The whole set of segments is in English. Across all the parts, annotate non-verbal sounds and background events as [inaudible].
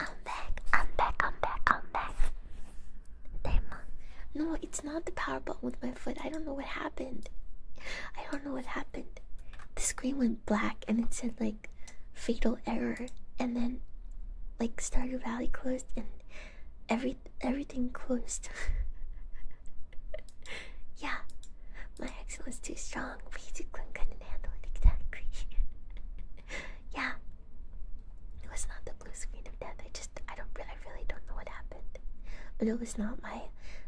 I'm back, I'm back, I'm back, I'm back. No, it's not the power button with my foot. I don't know what happened. I don't know what happened. The screen went black and it said like fatal error and then like Stardew Valley closed and every everything closed. [laughs] yeah. My accent was too strong. Basically, I couldn't handle it exactly. [laughs] yeah. It was not the blue screen of death. I just I don't I really don't know what happened. But it was not my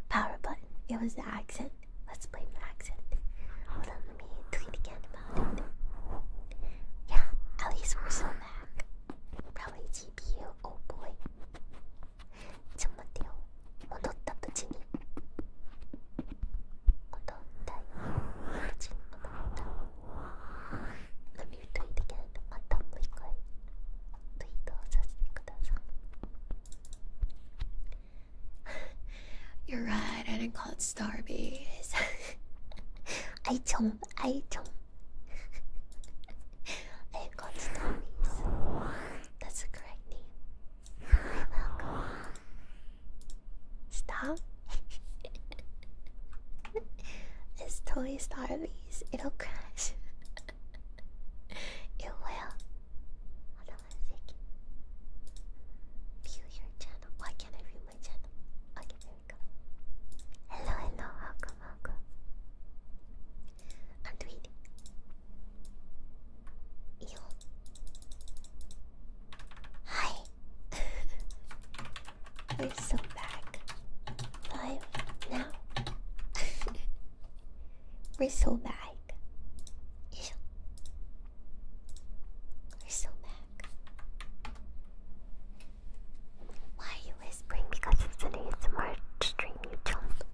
power button. It was the accent. Let's blame the accent. Hold on, let me tweet again about it. Yeah, at least we're still back. Probably GPU. Oh boy. 잠깐만요. [laughs] you are right, I didn't call it Starbase. [laughs] I don't, I don't. [laughs] I didn't That's the correct name. Stop. it's [laughs] Toy Starbies. It'll crash. [laughs] it will. Hold on View your channel. Why can't I view my channel? Okay, there we go. Hello, hello. Welcome, welcome. I'm tweeting. Hi. [laughs] [laughs] We're so back. Live now. We're so back. We're so back. Why are you whispering? Because it's an ASMR stream, you jump.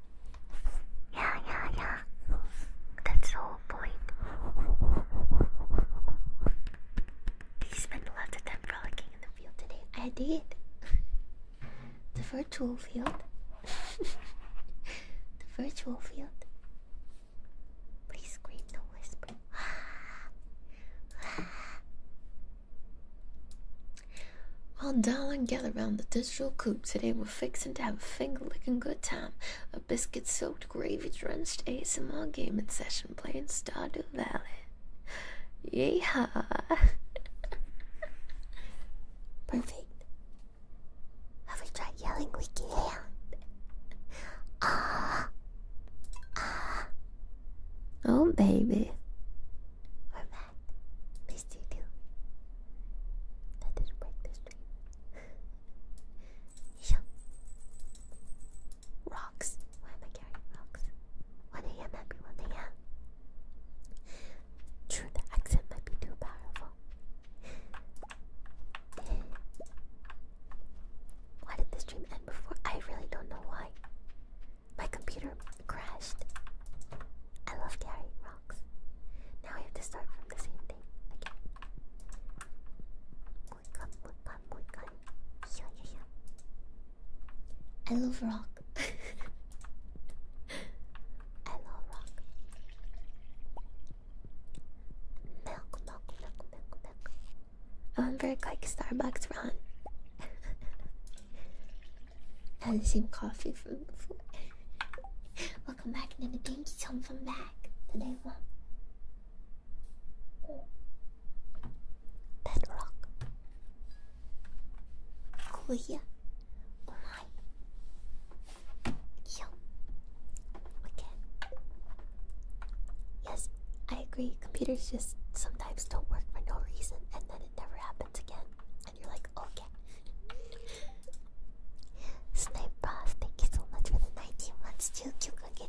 Yeah, yeah, yeah. That's so boing. Did you of time frolicking in the field today? I did. the virtual field. [laughs] the virtual field. Please scream, no whisper. Well, darling, gather round the digital coop. Today we're fixing to have a finger-licking good time. A biscuit soaked gravy drenched ASMR gaming session playing Stardew Valley. Yeah! [laughs] Perfect. Have we tried yelling? We can Ah! Ah! Oh, baby. We're back. Missed you too. That did break the stream. yeah. [laughs] Rocks. Why am I carrying rocks? 1 a.m. every 1 a.m. True, the accent might be too powerful. why did the stream end before? I really don't know why. My computer crashed. I love carrying rocks. Now I have to start from the same thing again. I love rock. [laughs] I love rock. Milk, milk, milk, milk, milk. I remember a quick Starbucks run. I [laughs] had the same coffee from before. [laughs] Welcome back, Nana. Thank you so home from back. Today, one. Bedrock. Korea. Oh my. Yeah. Okay. Yes, I agree. Computers just sometimes don't work for no reason, and then it never happens again. And you're like, okay. Snipe Bros, thank you so much for the 19 months to Kyukuge.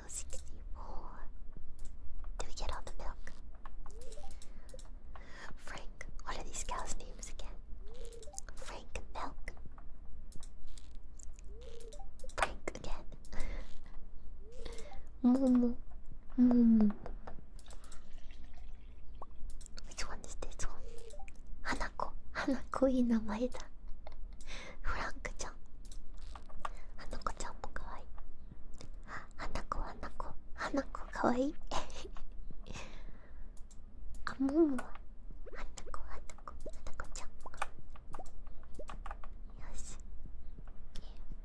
till 64. Do we get all the milk? Frank, what are these cows' names again? Frank Milk. Frank again. Mumu. [laughs] Mumu. Which one is this one? Hanako. Hanako Inamaeda. フランクちゃん花子ちゃんもかわいい花子花子花子かわいいあももは花子花子花子ちゃんもかわいいよし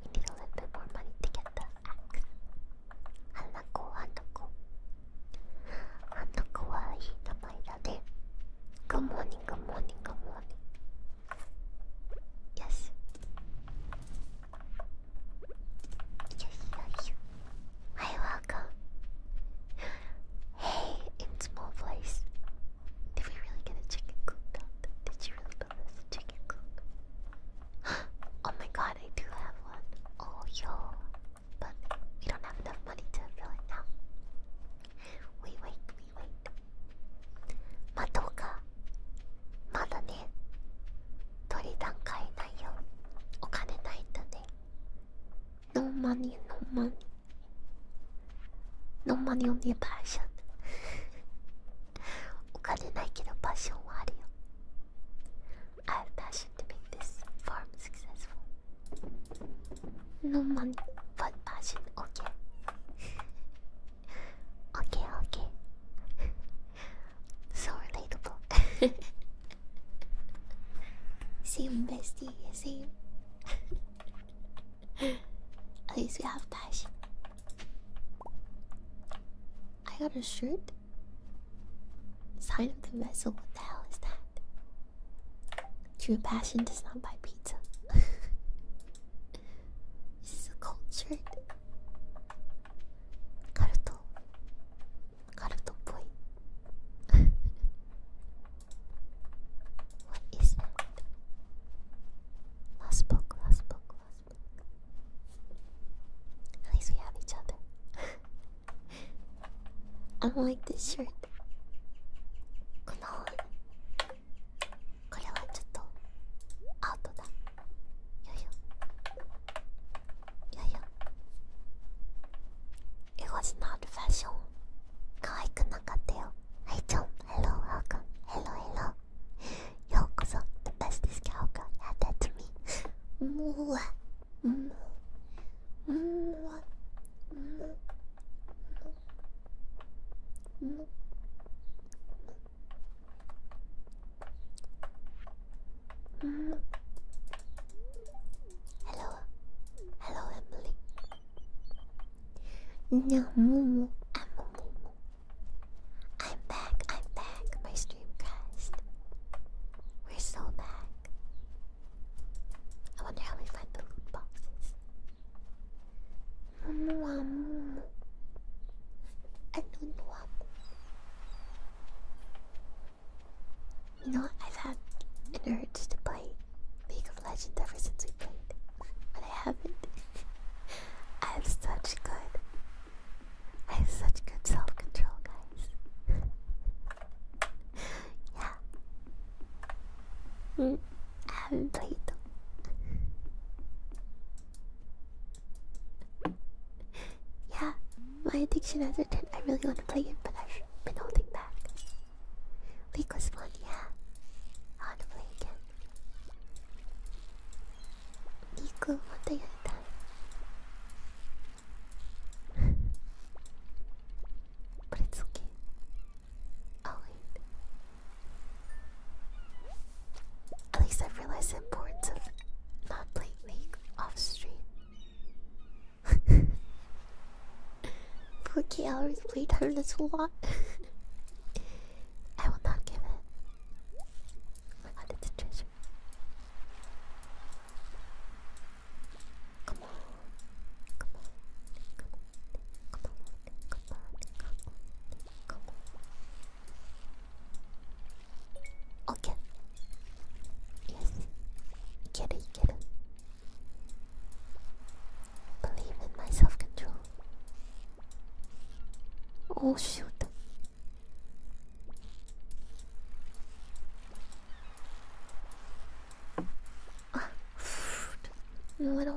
We need a little bit more money to get the axe 花子花子花子はいい名前だね Good morning, good morning, good morning Yes. Yes, yes. Hi, welcome. Hey, in small place. Did we really get a chicken coop Did you really build a chicken coop? [gasps] oh my god, I do have one. Oh, yo. But we don't have enough money to fill it now. We wait, we wait. まどうかまだね取り段階ないよお金ないとねノーマニーノーマニノーマニーオンリーパッシャ。ンお金ないけどパッションはあるよ I have passion t ー make this farm s u c c e s s f Okay, okay. [laughs] so relatable. [laughs] same bestie, same. [laughs] At least we have passion. I got a shirt. Sign of the vessel. What the hell is that? True passion does not buy pizza. She's a cultured. Karuto. Karuto boy. what is that? Last book, last book, last book. At least we have each other. [laughs] I like this shirt. Come on. これはちょっとアウトだよいよよいよ It was not fashion 可愛くなかったよはいちょん Hello welcome Hello hello ようこそ The best is Kyoko Yeah that's me もうもうもうもうもう Hello, hello, Emily. No, Mumu, I'm Mumu. I'm back, I'm back, my streamcast. We're so back. I wonder how we find the loot boxes. Amuamu. Anuamu. You know, I've had an urge to play League of Legends ever since we played, but I haven't. [laughs] I have such good. I have such good self control, guys. [laughs] yeah. Mm. I haven't played it. yeah, my addiction has returned. I really want to play it, but I've been holding back. League was fun, yeah. I want to play again. Nico, one day at a time. but it's okay. Oh wait. At least I've realized the importance of not playing League off stream. 4k [laughs] hours playtime, that's a lot. [laughs] I will not give it. I my god, it's treasure. Come on. Come on. Come on. Come on. Okay. Yes. Get it, get it. Believe in my self control. Oh, shit! Ah, [sighs] little.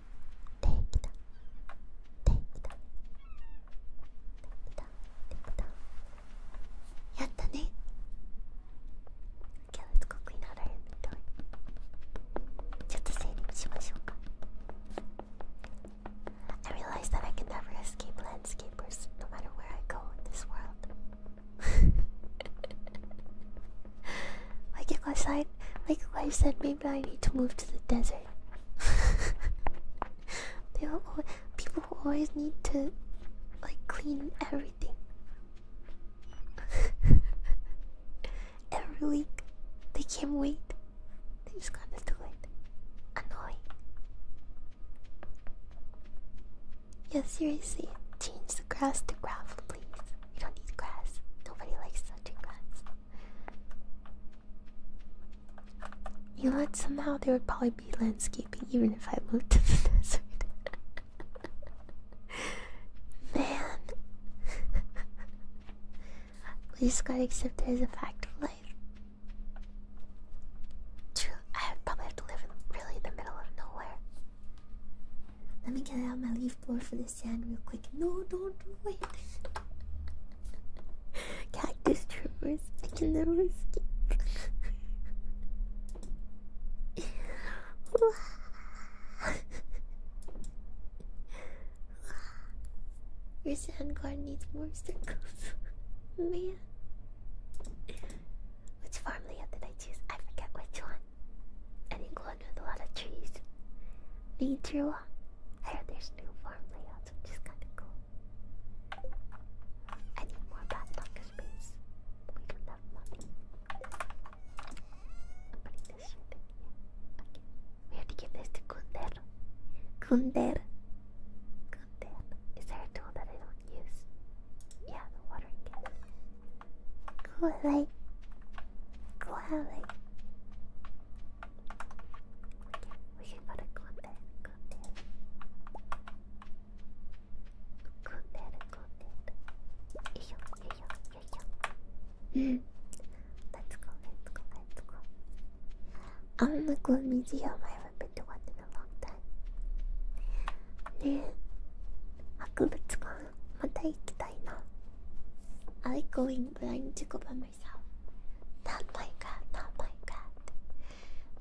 Take down. Take down. Take down. Take down. Yatta ne. Okay, let's go clean out our inventory. ちょっと整理しましょうか I realize that I can never escape landscapers no matter where I go in this world. [laughs] like if I like if I said, maybe I need to move to the desert. [laughs] they people always need to like clean everything. [laughs] Every week, they can't wait. They just gotta do it. Annoying. Yeah, seriously, change the grass to gravel, please. You don't need grass. Nobody likes touching grass. You would what? Somehow there would probably be landscaping even if I moved to [laughs] the desert. Man, we just gotta accept it as a fact of life. True, I probably have to live in the middle of nowhere. Let me get out my leaf blower for sand real quick. No, don't do it. [laughs] Cactus troopers I can never Your sand guard needs more circles. [laughs] Man. Which farm layout did I choose? I forget which one. I think one with a lot of trees. Nature. I heard there's new farm layouts, which is kind of cool. need more padlock space. We don't have money. I'm putting this in here. We have to give this to Kunder. Kunder. Kunder. Is there a tool that I don't use? Yeah, the watering can. Cool, like. We got to go there, go there. Go there, go there. Yo, yo, yo, yo, yo. let's go, let's go, let's go. I remember going to museum. I haven't been to one in a long time. ねえ博物館また行きたいな I going blind 自己ばめ myself. Not like that, not like that.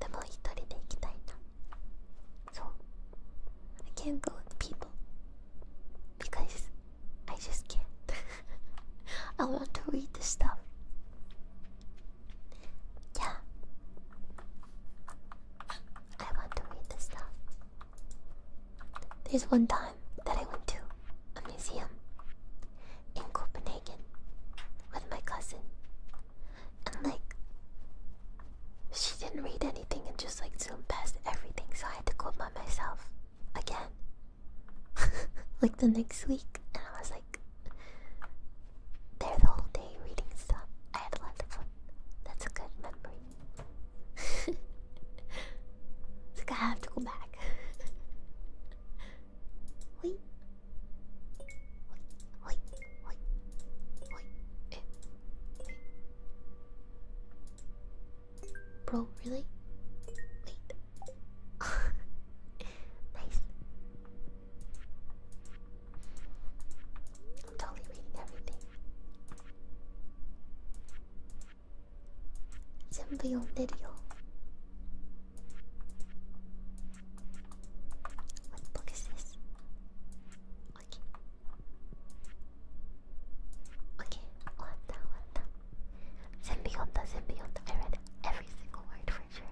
でも一人で行きたいな。そう。I can't go with people because I just can't. I want to read the stuff. Yeah. I want to read the stuff. There's one time that I went to a museum in Copenhagen with my cousin. And like, she didn't read anything and just like zoomed past everything, so I had to go by myself again. [laughs] like the next week, and I was like there the whole day reading stuff. I had a lot of fun. That's a good memory. [laughs] [laughs] it's like to have to go back. [laughs] Wait. Wait, wait, wait, wait. Bro, really? Wait. [laughs] nice. I'm totally reading everything. 全部読んでるよボックスです OK OK 終わった終わった全部読んだ全部読んだ oh, read every single word for sure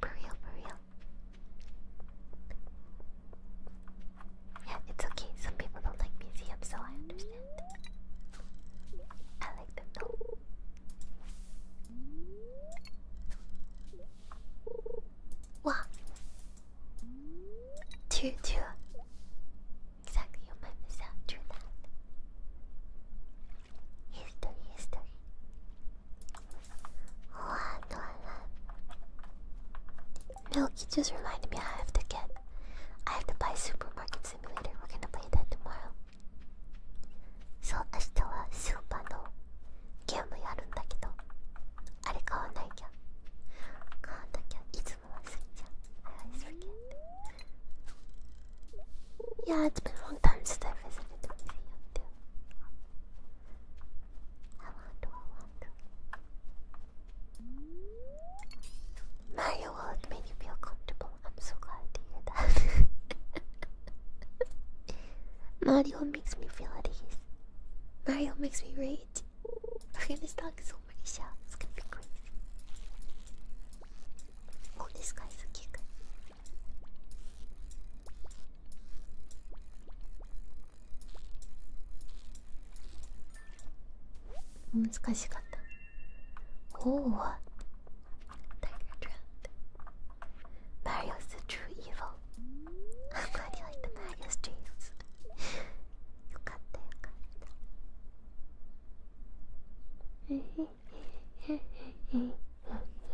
for real for real Yeah, it's okay. Some people don't like museums, so I understand cute. I like them though. One, two, two. Exactly, you might miss out. True that. History, history. One, one, one. Milky just remind me I have to get I have to buy Supermarket Simulator. We're gonna play that tomorrow. So, 明日はスーパーのゲームやるんだけど、あれ買わなきゃ。買わなきゃ、いつも忘れちゃう。I always forget. Yeah, it's been a long time since I visited the museum too. I want to, I want to. Mario World made feel comfortable. I'm so glad to hear that. [laughs] Mario makes me feel at ease. Mario makes me rage. I'm gonna stock so many shells. It's gonna be crazy. Oh, this guy's a kicker. Oh, it's difficult. Oh, Tiger drowned. Mario's the true evil. I'm glad like the Mario's dreams. you got that, you got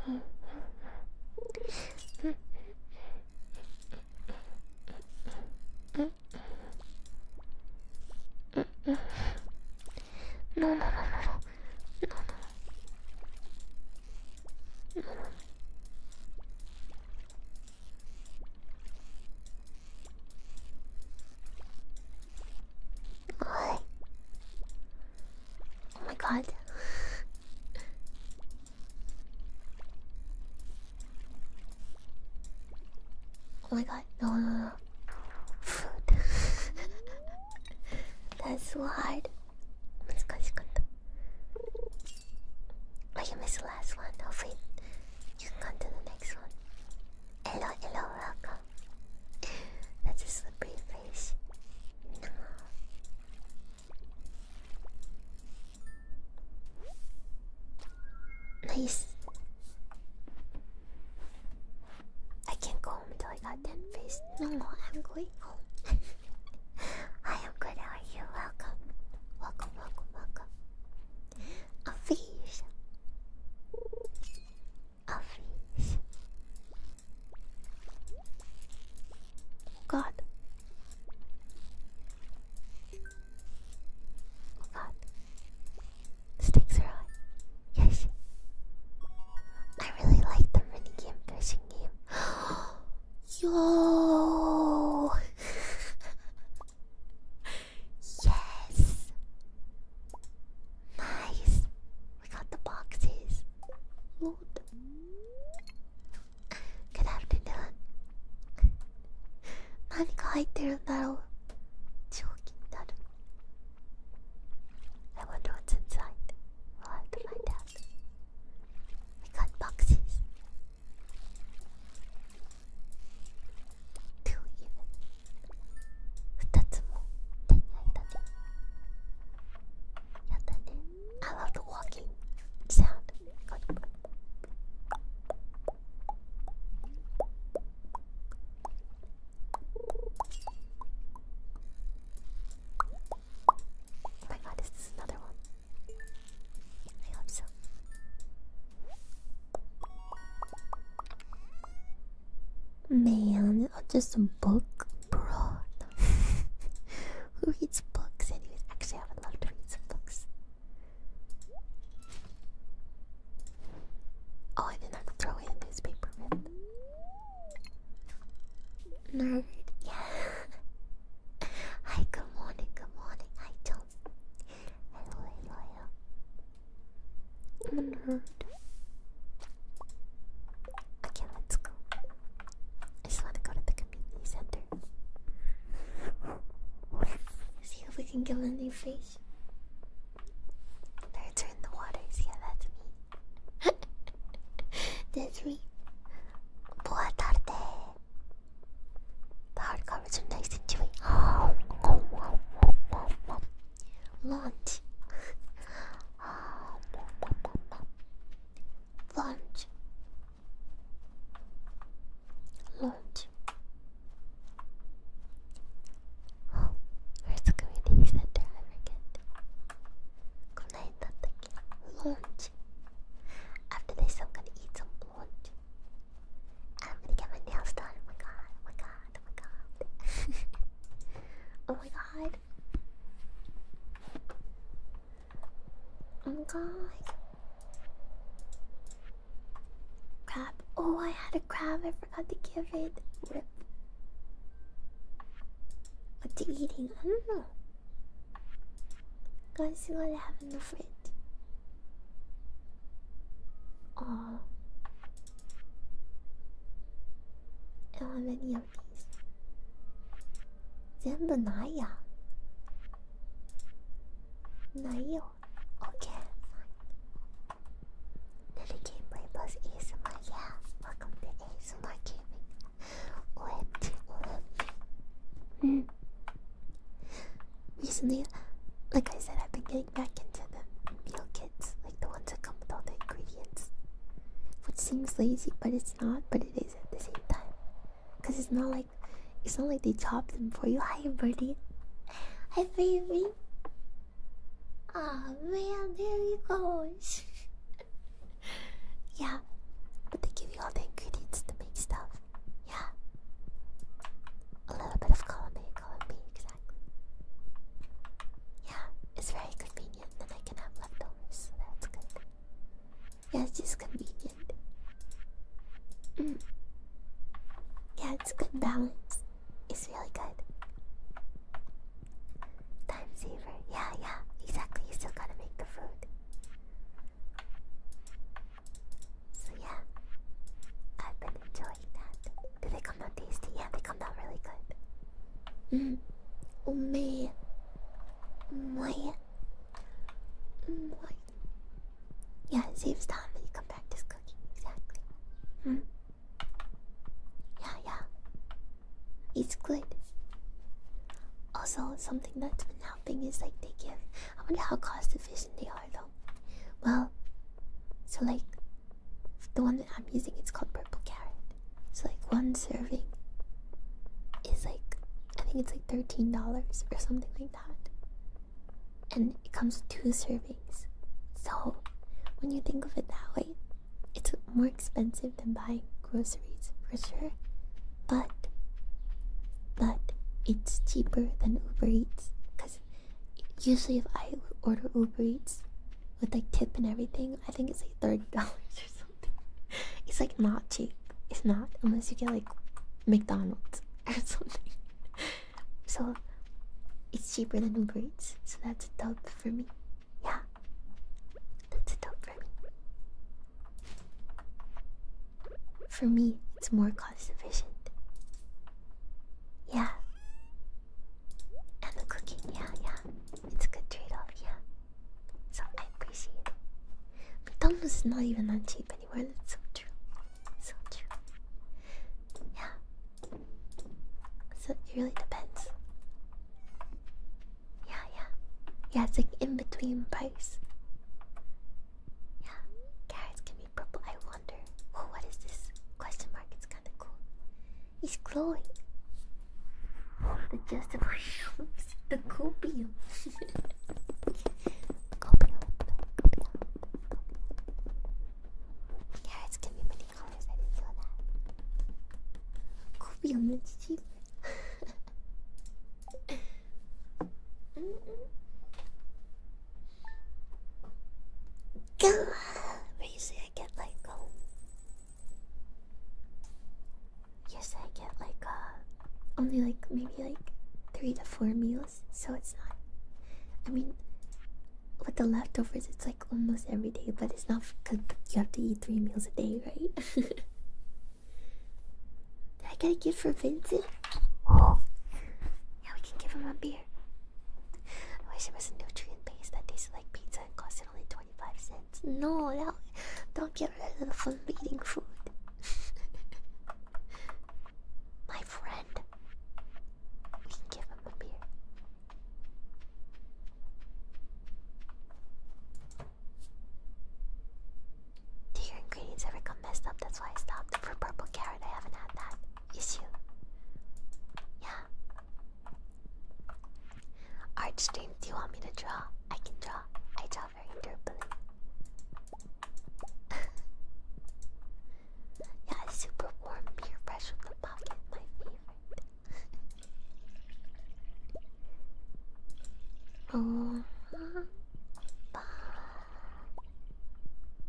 that. No, no, no, no, no, no, no. no. Oh my god. Oh my god god, no, no, no. Food. That's so hard. 難しかった Oh, you missed the last one. Hopefully, oh, you can come to the next one. Hello, hello, welcome. That's a slippery face. No. Nice. I can't go home until I got ten face. No, no, I'm going [laughs] home. I am good. How are you? Welcome, welcome, welcome, welcome. A fish. A fish. God. Oh God. Stakes are high. Yes. I really like the running game fishing game. [gasps] Yo. yes. Nice. We got the boxes. Loot. Good afternoon. What are you doing? I wonder what's inside. We'll have to find out. got boxes. Two even. 2つも手に入ったね。やったね。I love the walking sound. Oh my god, is this another one? I hope so. Man, just a book, bro. [laughs] Who reads books, anyways? Actually, I would love to read some books. Oh, I did not throw in a newspaper Nerd, yeah. [laughs] Hi, good morning, good morning. Hi, Tom. Hello, hello. i nerd. Okay, let's go. I just want to go to the community center. See if we can give a new face. Nerds are in the waters. Yeah, that's me. [laughs] that's me. Boa tarde. The hard are nice and chewy. Lunch. Lunch. Lunch. あこれ作りでいいセンターはなきゃってこないだったっけローンチ After this I'm gonna eat some lunch I'm gonna get my nails done Oh my god Oh my god Oh my god [laughs] Oh my god Oh my god Crab. Oh, I had a crab. I forgot to give it. What you eating? I don't know. Guys, what I have in the fridge? Oh, I don't have any of these. 全部ないや。ないよ。Okay, Little Gameplay Plus ASMR, yeah. Welcome to ASMR Gaming. OMG, OMG. Recently, like I said, I've been getting back into the meal kits, like the ones that come with all the ingredients. Which seems lazy, but it's not, but it is at the same time. Cause it's not like it's not like they chop them for you. Hi birdie. Hi baby. Ah oh, man, there he goes. [laughs] yeah, they give you all the ingredients to make stuff. Yeah, a little bit of column A, exactly. Yeah, it's very convenient. Then I can have leftovers, that's good. Yeah, it's just convenient. Mm. Yeah, it's good balance. It's really good. Time saver. Yeah, yeah, exactly. You still gotta make the food. So yeah, I've been enjoying that. Do they come out tasty? Yeah, they come out really good. Mm. Oh my, my, Yeah, saves time when you come back to cooking. Exactly. Mm. Yeah, yeah. It's good. Also, something that's been helping is like they give. I wonder how cost efficient they are though. Well, so like the one that I'm using, it's called Purple Carrot. So like one serving is like I think it's like thirteen dollars or something like that, and it comes with two servings. So, when you think of it that way, it's more expensive than buying groceries for sure, but but it's cheaper than Uber Eats because usually if I order Uber Eats with like tip and everything, I think it's like thirty [laughs] dollars or something. It's like not cheap. It's not unless you get like McDonald's [laughs] or something. So it's cheaper than Uber Eats, so that's a dub for me. Yeah. That's dope for me. For me, it's more cost efficient. Yeah. And the cooking, yeah, yeah. It's a good trade off, yeah. So I appreciate it. McDonald's is not even that cheap anymore, that's so true. So true. Yeah, so it really depends. Yeah, yeah. Yeah, it's like in between price. Yeah, carrots can be purple. I wonder. Oh, what is this? Question mark. It's kind of cool. It's glowing. The just of the [laughs] copium. copium. Carrots can be many colors. I didn't know that. Could be a much cheaper. mm -mm. Go. Where you say I get like um. You say I get like uh, only like maybe like three to four meals, so it's not. I mean, with the leftovers, it's like almost every day, but it's not because you have to eat three meals a day, right? [laughs] Did I get a gift for Vincent? Oh, yeah, we can give him a beer. I wish there was a nutrient base that tasted like pizza and costed only 25 cents. No, don't get rid of the fun eating food. [laughs] My friend, we give him a beer. Do your ingredients ever come messed up? That's why I stopped. For purple carrot, I haven't had that issue. Yeah. Art do you want me to draw? I can draw. I draw very durably. [laughs] yeah, super warm beer fresh from the pocket, my favorite oh,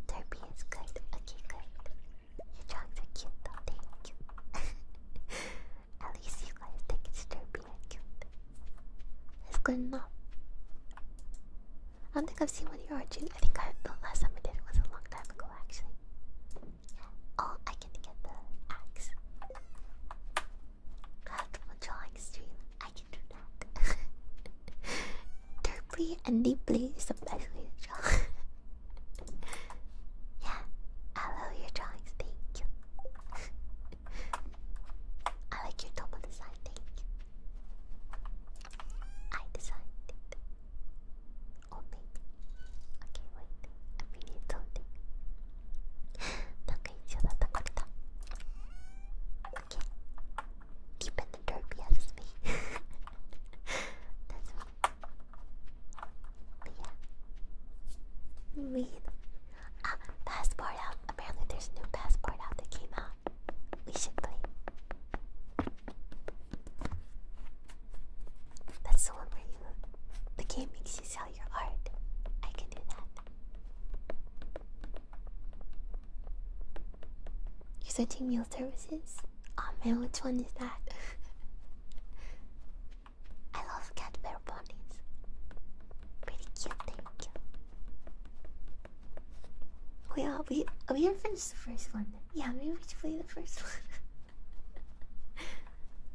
Derby is good. Okay, good. You dogs are cute though, thank you. At least you guys think it's derpy and good enough. I don't think I've seen one of your origin. I think I, the last time I did it was a long time ago, actually. Oh, I can get the axe. Like a drawing stream, I can do that. [laughs] Derply and deeply is the best way to draw. yeah, I love your drawings, thank you. [laughs] I like your double design, thank you. I designed Oh baby. Okay, wait. I need something. Deep in the derby as me. [laughs] That's me. But yeah. Read. Ah, passport out. Apparently there's a new passport out that came out. We should play. That's the one where you the game makes you sell your art. I can do that. You're searching meal services? Oh man, which one is that? [laughs] I love cat bear ponies. Pretty cute, thank you. We are we we have finished the first one. Yeah, maybe we should play the first [laughs] one.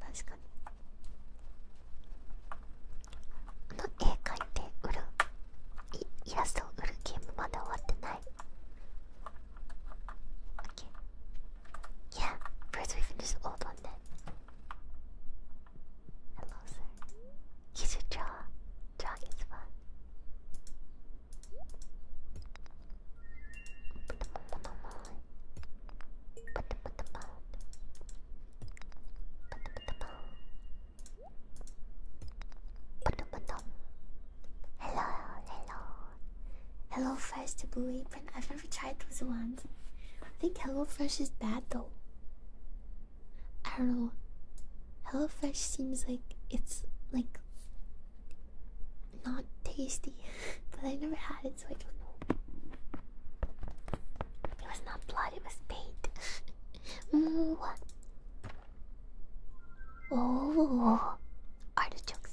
確かにあの絵描いて売るイ,イラストを売るゲームまだ終わってない OK Yeah, first we finish the old one then Hello sir You should draw Drawing is fun Hello, hello. Hello Fresh to Blue Apron. I've never tried those ones. I think Hello Fresh is bad though. I don't know. Hello Fresh seems like it's like not tasty, [laughs] but I never had it, so I don't know. It was not blood; it was paint. what? [laughs] Oh, artichoke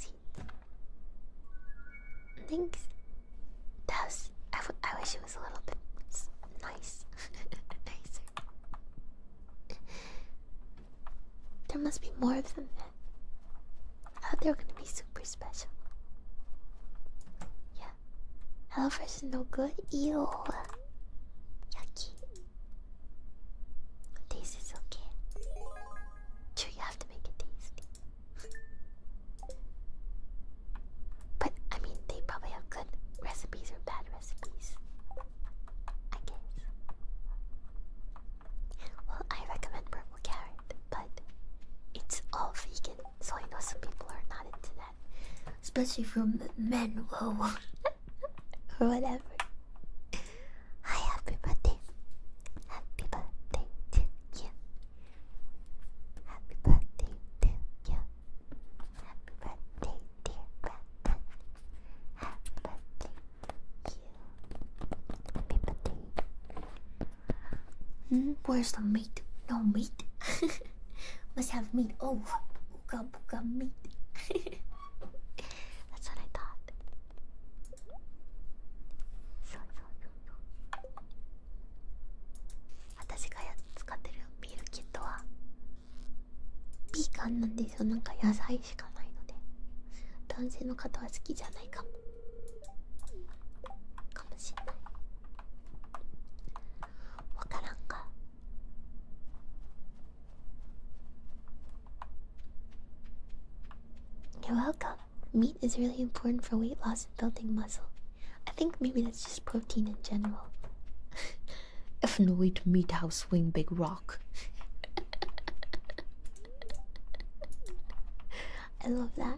Thanks. That I, I wish it was a little bit nice, [laughs] nicer. There must be more of them I thought they were gonna be super special. Yeah. HelloFresh is no good. Ew. Yucky. This is okay. Sure, you have to make it tasty. but I mean, they probably have good recipes or bad recipes. I guess. Well, I recommend purple carrot but it's all vegan, so I know some people are not into that, especially from men. Whoa, or [laughs] whatever. happy birthday! Happy birthday to you! Happy birthday to you! Happy birthday, dear brother! Happy birthday to you! Hmm? Where's the meat? No meat? Must have meat. Oh, booga booga meat. That's what I thought. So, so, so, so. 私が使ってるミールキットはビーガンなんですよ。なんか野菜しかないので。男性の方は好きじゃないかも。you are welcome. Meat is really important for weight loss and building muscle. I think maybe that's just protein in general. if no eat meat, how swing big rock. [laughs] I love that.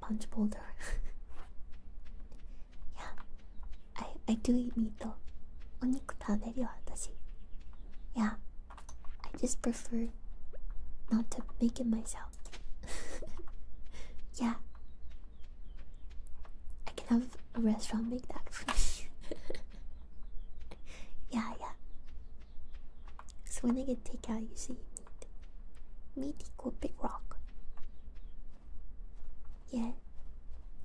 punch boulder. [laughs] yeah, I I do eat meat though. Oniku taberu watashi. Yeah, I just prefer not to make it myself. [laughs] yeah, I can have a restaurant make that for me. [laughs] yeah, yeah. So when I get takeout, you see, Mythical Big Rock. Yeah,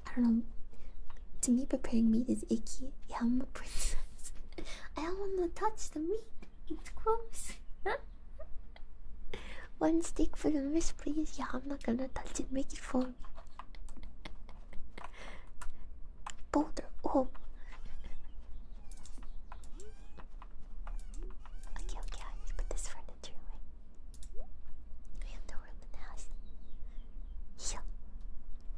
I don't know. To me, preparing meat is icky. Yeah, I'm a princess. [laughs] I don't want to touch the meat. It's gross. [laughs] One steak for the wrist, please. Yeah, I'm not gonna touch it. Make it for me. Boulder. Oh. Okay, okay, I put this furniture away. We have no room in Yeah.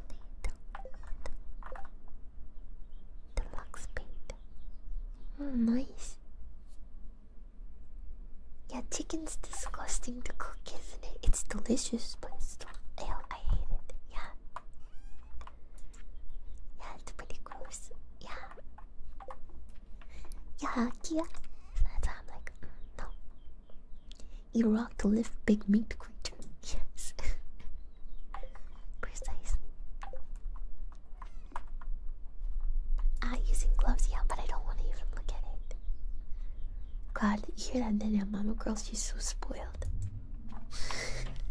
The, the, the box paint. Oh, nice. Yeah, chicken's disgusting to cook, isn't it? It's delicious, but it's still. Ew, I hate it. Yeah. Yeah, it's pretty gross. Yeah. Yeah, yeah. So that's like, mm, no. You rock to lift big meat creature. Yes. [laughs] Precisely. Ah, using gloves, yeah, but I don't want to even look at it. God, you hear that, then mama girl, she's so spoiled.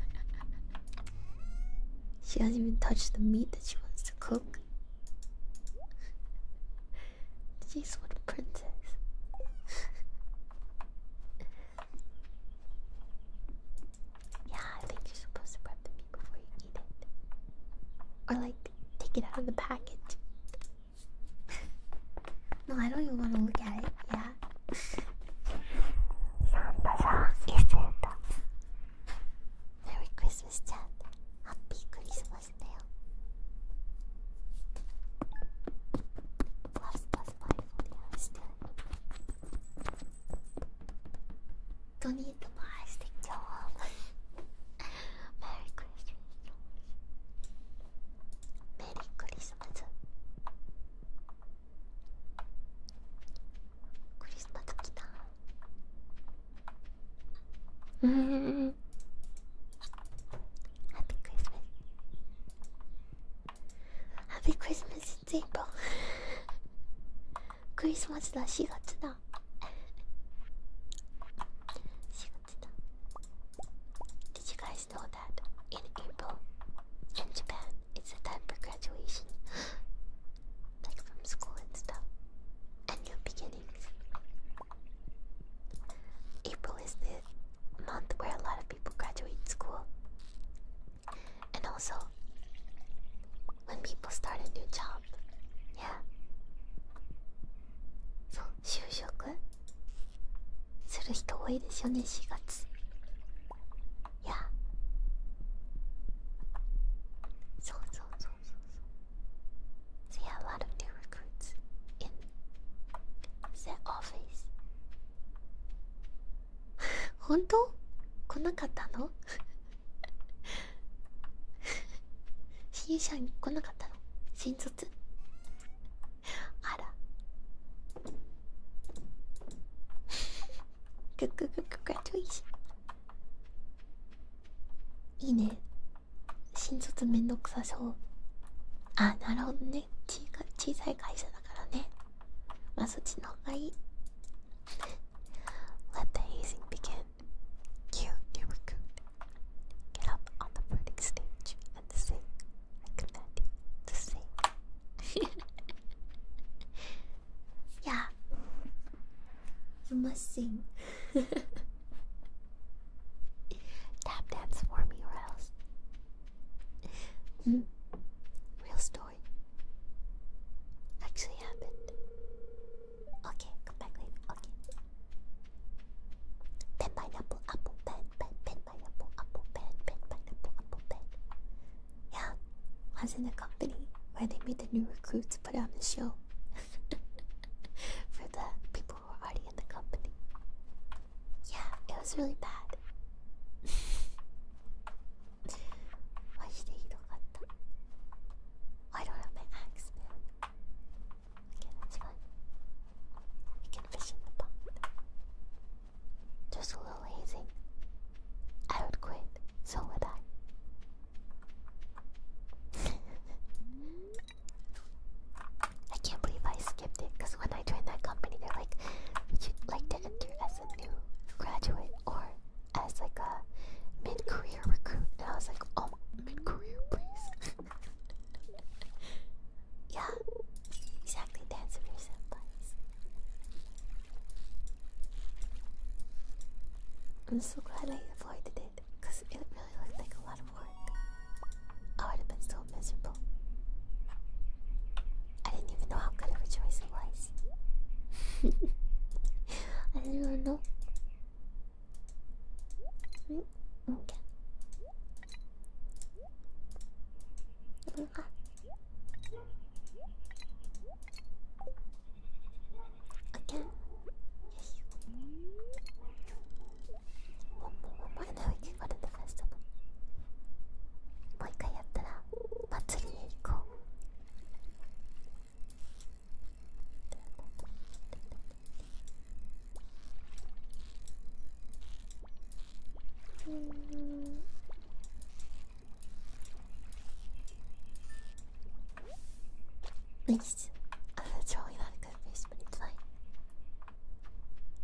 [laughs] She hasn't even touched the meat that she wants to cook. She's [laughs] what a princess. [laughs] yeah, I think you're supposed to prep the meat before you eat it. Or like take it out of the package. [laughs] no, I don't even want to look at it, yeah. Merry Christmas, Dad. Happy Christmas, Nail. Plus plus five for the hours Don't need the plastic doll. [laughs] Merry Christmas. Merry Christmas. クリスタ叩きたうん Happy Christmas Happy Christmas 全部クリスマスだ4月だ4月だ Did you guys know that in April in Japan it's h a time for graduation like from school and stuff, and new beginnings. April is the month where a lot of people graduate school, and also when people start a new job. Yeah. So, 就職する人多いですよね、4月。いやそうそうそうそうそう There are a lot of new recruits in the office 本当来なかったの新社員来なかったの新卒あら Congratulations いいね新卒めんどくさそうあなるほどね小小さい会社だからねまあそっちの方がいい Let the hazing begin. You, new recruit, get up on the burning stage and sing. I command you to sing. Yeah. You must sing. [laughs] Tap dance for me or hmm? Real story. Actually happened. Okay, come back later. Okay. Pen pineapple apple pen pen pen pineapple apple pen pen pineapple apple pen yeah, I was in the company where they made the new recruits put on the show [laughs] for the people who were already in the company. Yeah, it was really bad. [laughs] I don't have my axe, man. Okay, that's fine. can fish in the pond. Just a little hazing. I would quit, so would I. I can't believe I skipped it because when I joined that company, they're like, would you like to enter as a new graduate or as like a mid-career recruit? And I was like, oh, mid-career, please. [laughs] yeah, exactly. Dance with your senpais. I'm so glad I avoided it, because it really looked like a lot of work. I would have been so miserable. I didn't even know how good of a choice it was. [laughs] I didn't really know. Mm, okay. Mm, ah. OK よしお前の受けこれで返したのもう一回やったら祭りへ行こううん Please. Uh, [laughs] that's really not a good face, but it's fine.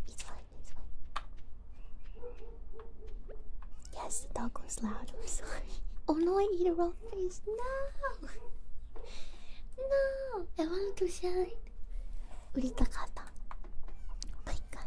It's fine, it's fine. Yes, the dog was loud, [laughs] Oh no, I eat a raw face. No! [laughs] No! I want to shine. Uritakata. Oh my god.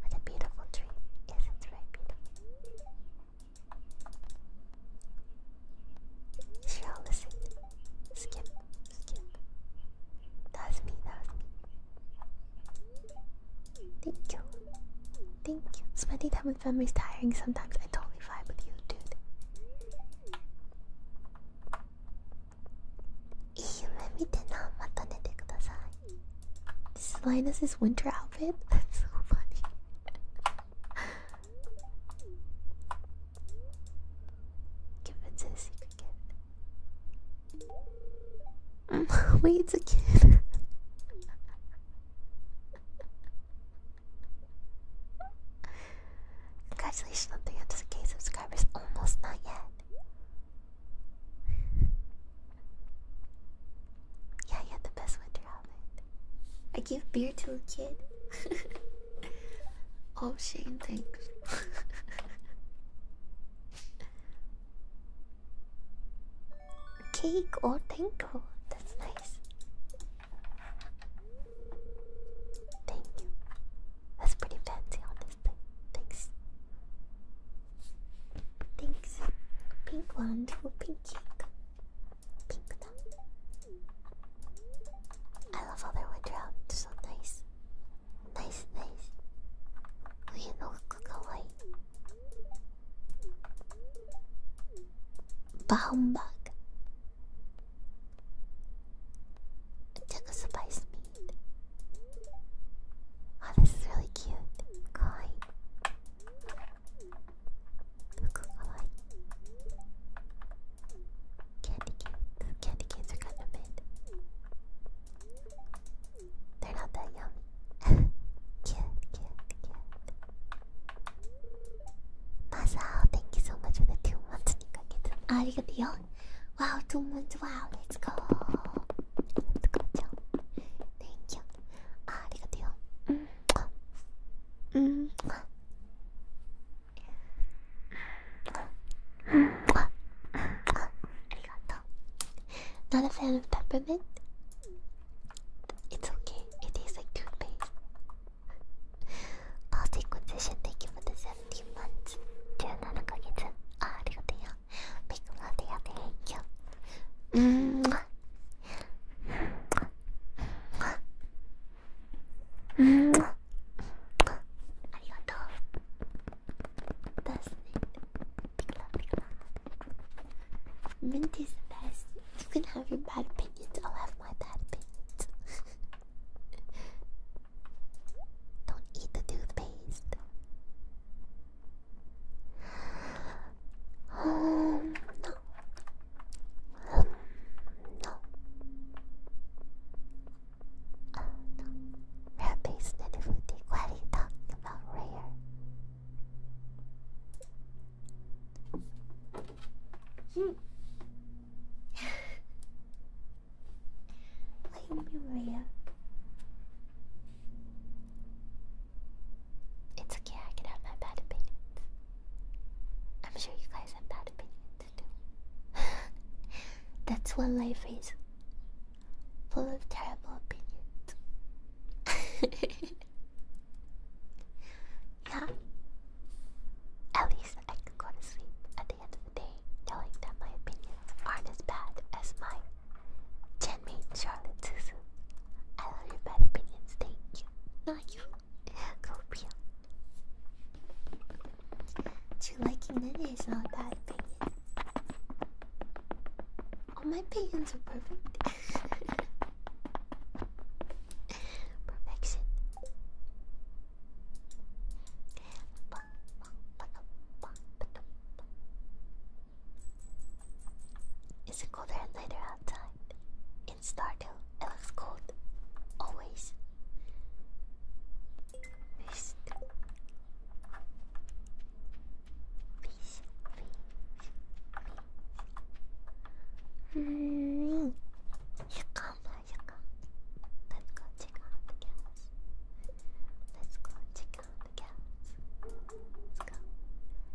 What a beautiful tree. Yes, it's very beautiful. Shall listen. Skip, skip. That's me, that's me. Thank you. Thank you. Spending time with family is tiring sometimes. I totally vibe with you, dude. いい夢見てなまた寝てください This is Linus's winter outfit? [laughs] That's so funny Give it to the secret kid [laughs] Wait, it's kid [laughs] Congratulations on 300k subscribers, almost not yet. [laughs] yeah, you had the best winter helmet. I give beer to a kid. [laughs] [laughs] oh, Shane, thanks. Cake or tango. That's nice. Thank you. That's pretty fancy on this thing. Thanks. Thanks. Pink wand for pink cheek. Pink thumb. I love how they're wood so nice. Nice, nice. We know Kukalai. Bahumbag. It took a surprise me. Oh, this is really cute. Kai. Candy canes. Candy canes are kind of mid. They're not that yummy. [laughs] cute, cute, cute. Masao, thank you so much for the two months. Arigato. Wow, too much. Wow, let's go. Let's go, Joe. Thank you. Ah, arigato yo. Mm. Mm. Arigato. Not a fan of peppermint? It's okay. It is a good base. Positive condition. Thank you for the 17 months. 17ヶ月。あ、ありがとうよ。Big love to you. Thank Mwah. Mwah. Mwah. Arigato. Best Big love, big love. Mint is the best. You can have your bad opinions. I'll have my bad opinions. Don't eat the toothpaste. Um, no. no. no. Rare based and fruity. What are talking about, rare? Hmm. what do you it's okay, I can have my bad opinions. I'm sure you guys have bad opinions too. [laughs] That's what life is full of terrible opinions. [laughs] yeah. At least I could go to sleep at the end of the day knowing that my opinions aren't as bad as my Jenny, Charlotte, Susan. I love your bad opinions. Thank you. Not you. Copia. You liking Nene is not a bad opinion. All my opinions are perfect. [laughs] Perfection. Is it colder and later outside? In Stardew, it looks cold. Always. Feast. Feast. Feast. Feast. You come, you come. Let's go check out Let's go check the cats. Let's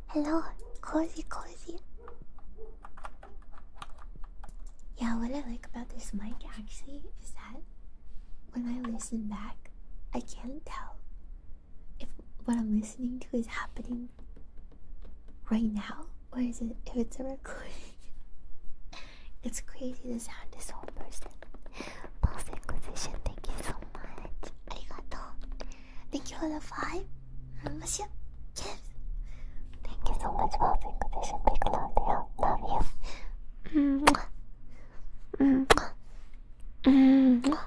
Hello, cozy, cozy. Yeah, what I like about this mic actually is that when I listen back, I can't tell if what I'm listening to is happening right now or is it if it's a recording. [laughs] it's crazy the sound is so person. Pulse Inquisition, thank you so much. Arigato. Thank you for the five. Monsieur. Yes. Thank you so much, Pulse Inquisition. Big love Love you. -hmm. -hmm. -hmm. -hmm. -hmm.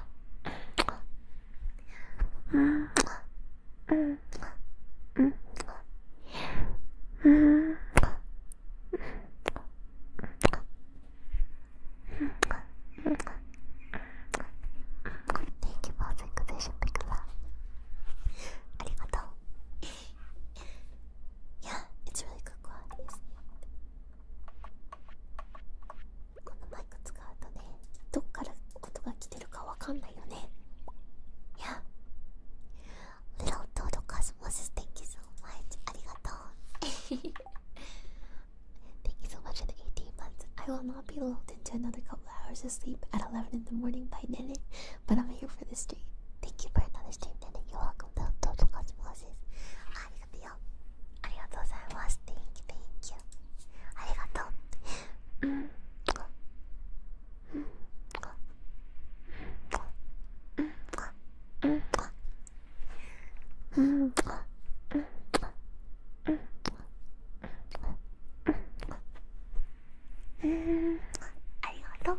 Thank you for the inquisition, Big Love. ありがとう。yeah, it's really good quality, isn't it? このマイク使うとね、どっから音が来てるかわかんないよね。Yeah. Little Toto Cosmos, thank you so much. ありがとう。Thank you so much for the 18 months. I will not be lulled into another couple hours of sleep at 11 in the morning by Nene, but I'm here for this stream. Thank you for another stream, Nene. You're welcome to Total Cosmosis. Arigatou. Arigatou gozaimasu. Thank you, thank you. Arigatou. うんありがとう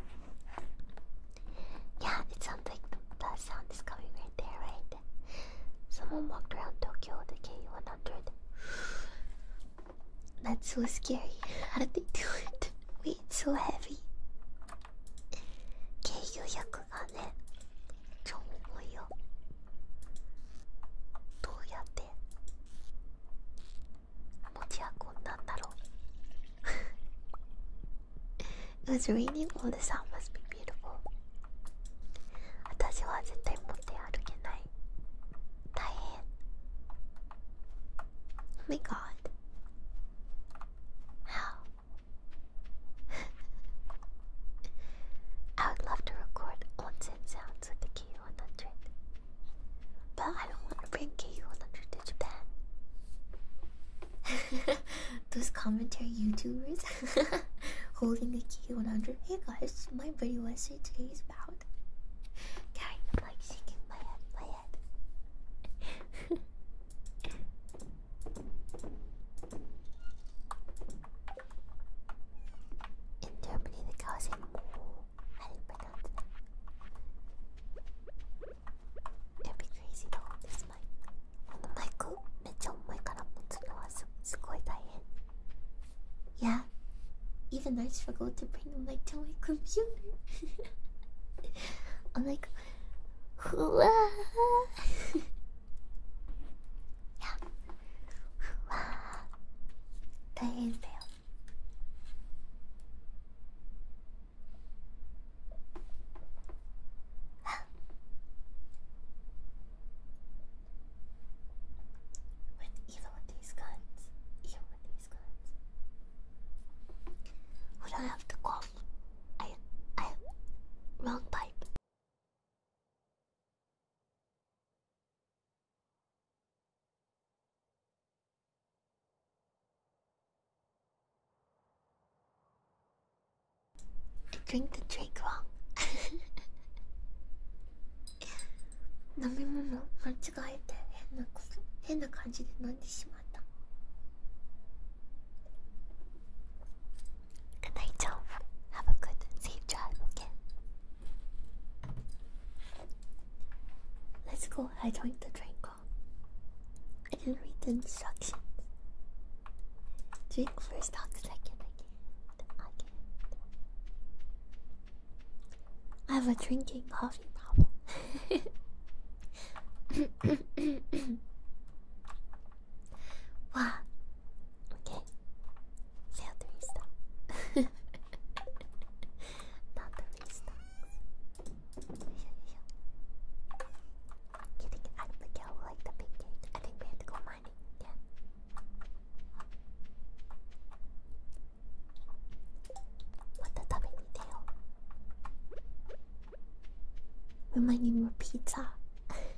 Yeah, it sounds like that sound is coming right there, right? Someone walked around Tokyo with a K100. That's so scary. How did they do it? Wait, it's so heavy. 軽油100がねちゃ重いよどうやって持ち運んだんだろう It was raining all the sun must be beautiful 私は絶対持って歩けない大変 Oh my god How? [laughs] I would love to record onsen sounds with the KU100, but I don't want to bring KU100 to Japan. [laughs] Those commentary YouTubers [laughs] holding the KU100. Hey guys, my video essay today is about. Gary, I'm like shaking my head, my head. 인터브리드 가세모 I pronounce that it be crazy though, this mic 오늘 마이크 매체 엄마의 가락못 들어와서 스코어 다이앤 Yeah, even I struggle to bring the mic to my computer [laughs] I'm like, [laughs] 呀，哇，大変だよ。わ with even with these guns, even with have to call. I, I, wrong pipe. Drink the drink wrong 飲み物間違えて変なこと変な感じで飲んでしまった Good night, Joe. Have a good, safe drive, okay? Let's go. I joined the train I didn't read the instructions. Drink first, talk second. I can't. I can I have a drinking coffee problem. [laughs] Wow. Okay. Say three star. [laughs] Not three stars. You think the girl like the big cake? I think we have to go mining. Yeah. What the dubbing tail? We might need more pizza. [laughs]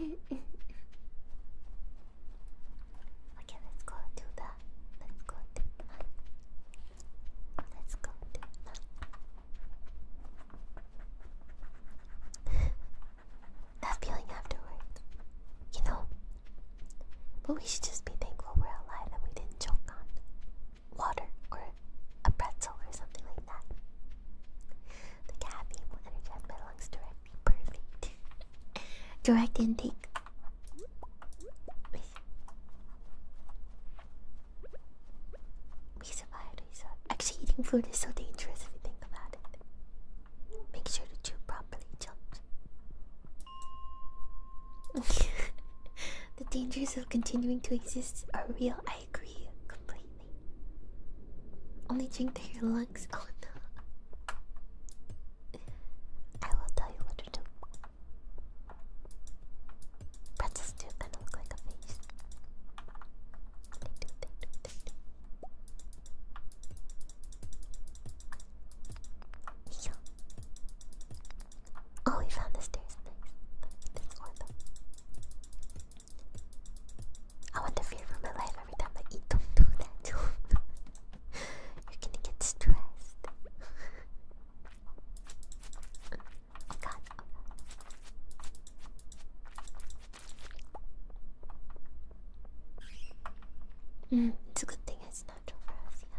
okay, let's go do that. Let's go do that. Let's go do that. that feeling afterwards, you know. But we should just be thankful we're alive and we didn't choke on water or a pretzel or something like that. The caffeine will energize my lungs directly. Perfect. [laughs] Direct intake. We survived, we survived. Actually, eating food is so dangerous if you think about it. Make sure to chew properly, chumps. [laughs] the dangers of continuing to exist are real. I agree completely. Only drink to your lungs. Oh no. I will tell you what to do. Pretzels do kind of look like a face. Oh, we found the stairs. I want to fear for my life every time I eat. Don't do [laughs] that. You're gonna get stressed. oh mm, it's a good thing it's natural for us, yeah.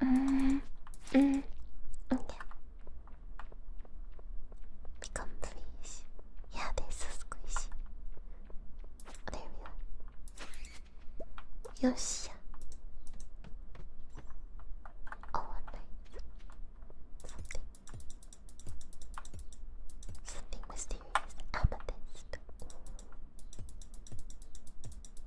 mm, mm, Become please. Yeah, there's a squishy. There we are. Yoshi. Oh, nice. Something. Something mysterious. Amethyst.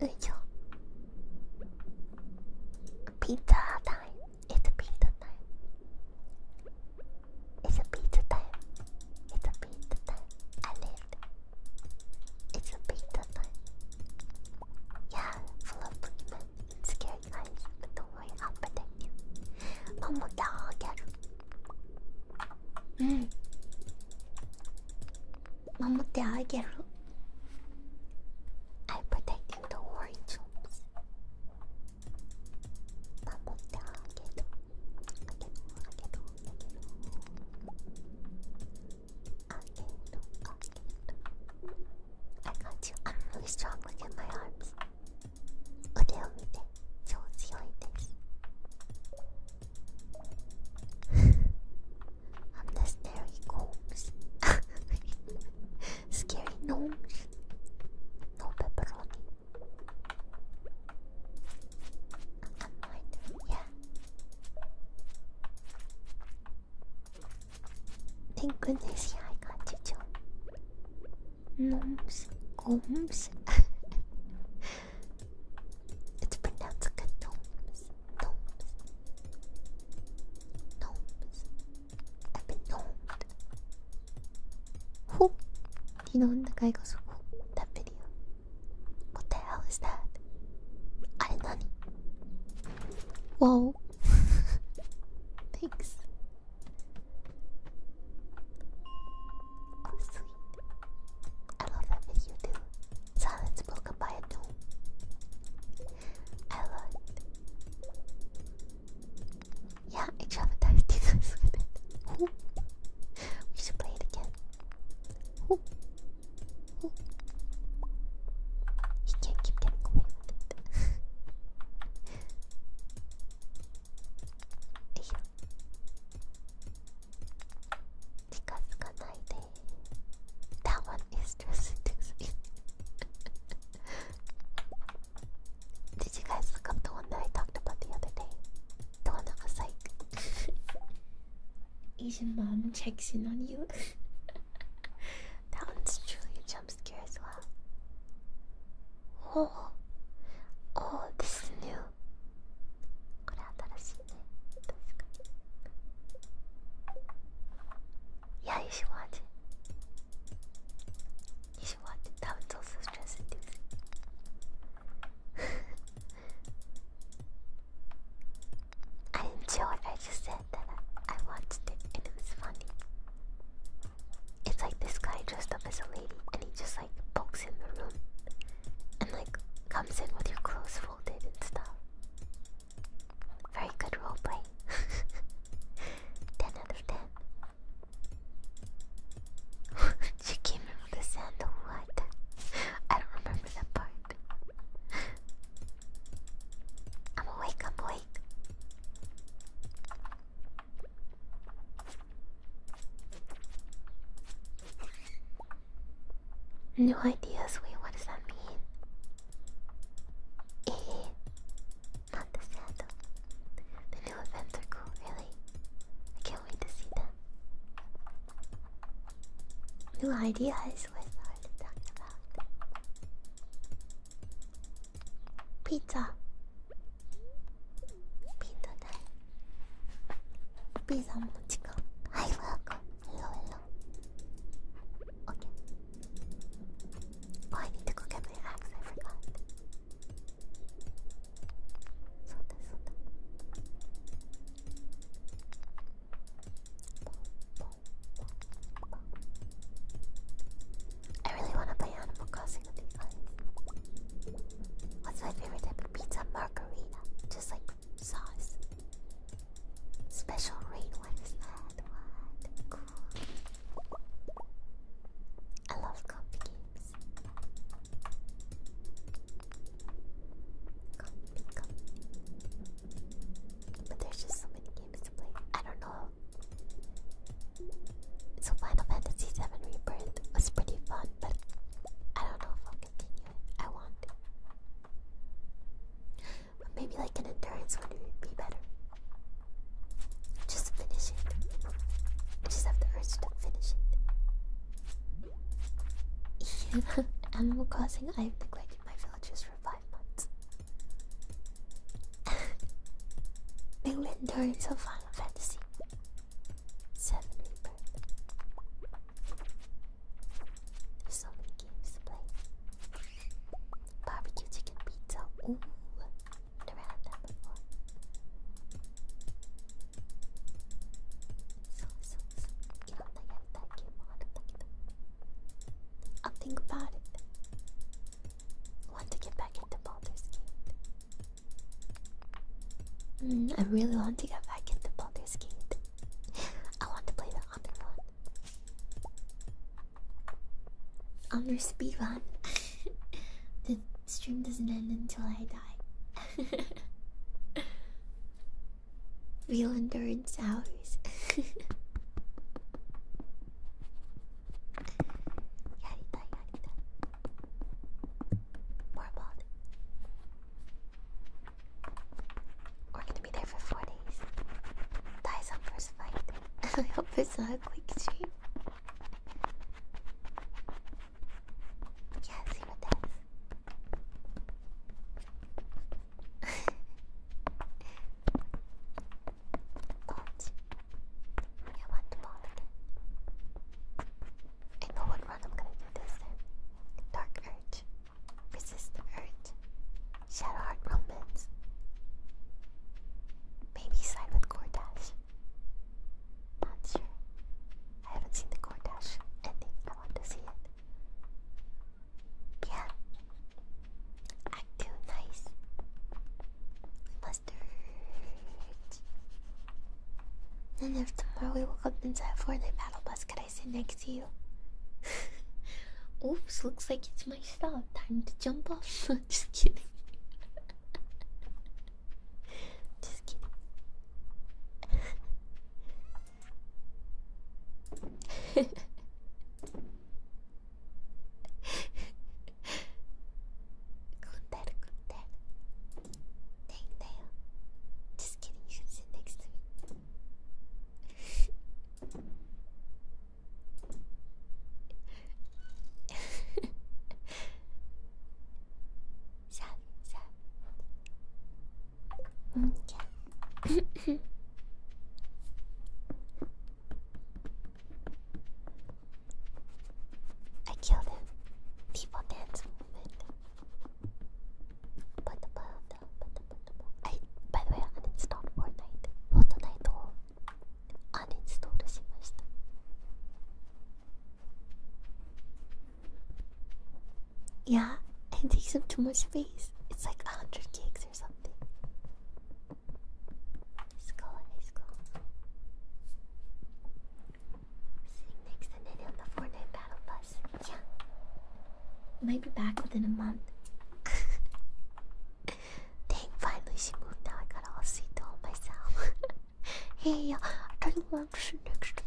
よいしょピザタイム uh, It's uh, pizza time It's pizza time It's pizza time I lived It's pizza time Yeah, full of women and scared eyes But don't worry, I'll protect you ママだーギャルうん oh 守ってあげる I protecting the orange 守ってあげるあげるあげるあげるあげる I got you I'm really strong within my arms 腕を見て超強いです I'm the scary gnomes. [laughs] scary gnomes. No pepperoni. I'm mine. Yeah. Thank goodness, yeah, I got you too. Gnomes. Gnomes. [laughs] It's pronounced gnomes. Gnomes. Gnomes. I've been gnomed. Who? You know, the guy goes, That video. What the hell is that? I nani. Whoa. [laughs] Thanks. Oh, sweet. I love that video too. Silent let's book I love it. Yeah, I traumatized you guys with it. We should play it again. He can't keep getting away [laughs] [laughs] Did you guys look up the one that I talked about the other day? The one that was like [laughs] Asian mom checks in on you. [laughs] that one's truly a jump scare as well. Oh, oh, this is new. これ新し yeah, you should watch it. You should watch it. That was also stress inducing. I enjoyed I just said that I, I watched it and it was funny. It's like this guy dressed up as a lady and he just like pokes in the room and like comes in with your clothes folded and stuff. Very good roleplay. [laughs] 10 out of 10. [laughs] she came in with the sand what? I don't remember that part. I'm awake, I'm awake. New ideas? Wait, what does that mean? Eh, not the Santa. The new events are cool, really. I can't wait to see them. New ideas? What's hard to talk about? Pizza. Pizza time. Pizza mochiko. Hi, welcome. Hello, Okay. Oh, I need to go get my axe. I So this. So I really want to play Animal Crossing with What's my favorite type of pizza? Margarita. Just like sauce. Special raid, what is What? I love copy games. Copy, copy. But there's just so many games to play. I don't know. So Final Fantasy VII Rebirth was pretty fun, but I don't know I want But maybe like an endurance one would be better. Just finish it. just have the urge to finish it. [laughs] Animal Crossing, I've neglected my villagers for five months. [laughs] New endurance of Final Fantasy. Seven so many games to play. Barbecue chicken pizza. Ooh, never had that before. So, so, so. Get on that, get that game I'll think about it. want to get back into Baldur's Gate. Mm, I really want to get back into Baldur's Gate. [laughs] I want to play the other one. I'm your speedrun. [laughs] the stream doesn't end until I die. [laughs] Real endurance hours. [laughs] We're gonna be there for four days. Dies on first fight. [laughs] I hope it's a quick stream. Yeah, see what that's. Bolt. I want the ball again. I know what run gonna do this Dark Urge. Resist the Shadow Heart Romans. Maybe side with Gordash. Not I haven't seen the Gordash ending. I want to see it. Yeah. Act nice. Mustard. Then if tomorrow we woke up inside a Fortnite battle bus, could I I sit next to you. [laughs] Oops, looks like it's my stop. Time to jump off. [laughs] Just kidding. [laughs] Just kidding. Just kidding, Sad, sad. Okay. I killed him. People dance movement. Put the ball down, put the I, by the way, uninstalled Fortnite. Fortnite をアンインストールしました。Yeah, it takes up too much space. It's like a 100 gigs or something. Let's go, next and on the Fortnite battle bus course. Yeah. Might be back within a month. [laughs] Dang, finally she moved now. I got all sweet all myself. [laughs] hey, uh, I don't want to sit next to me.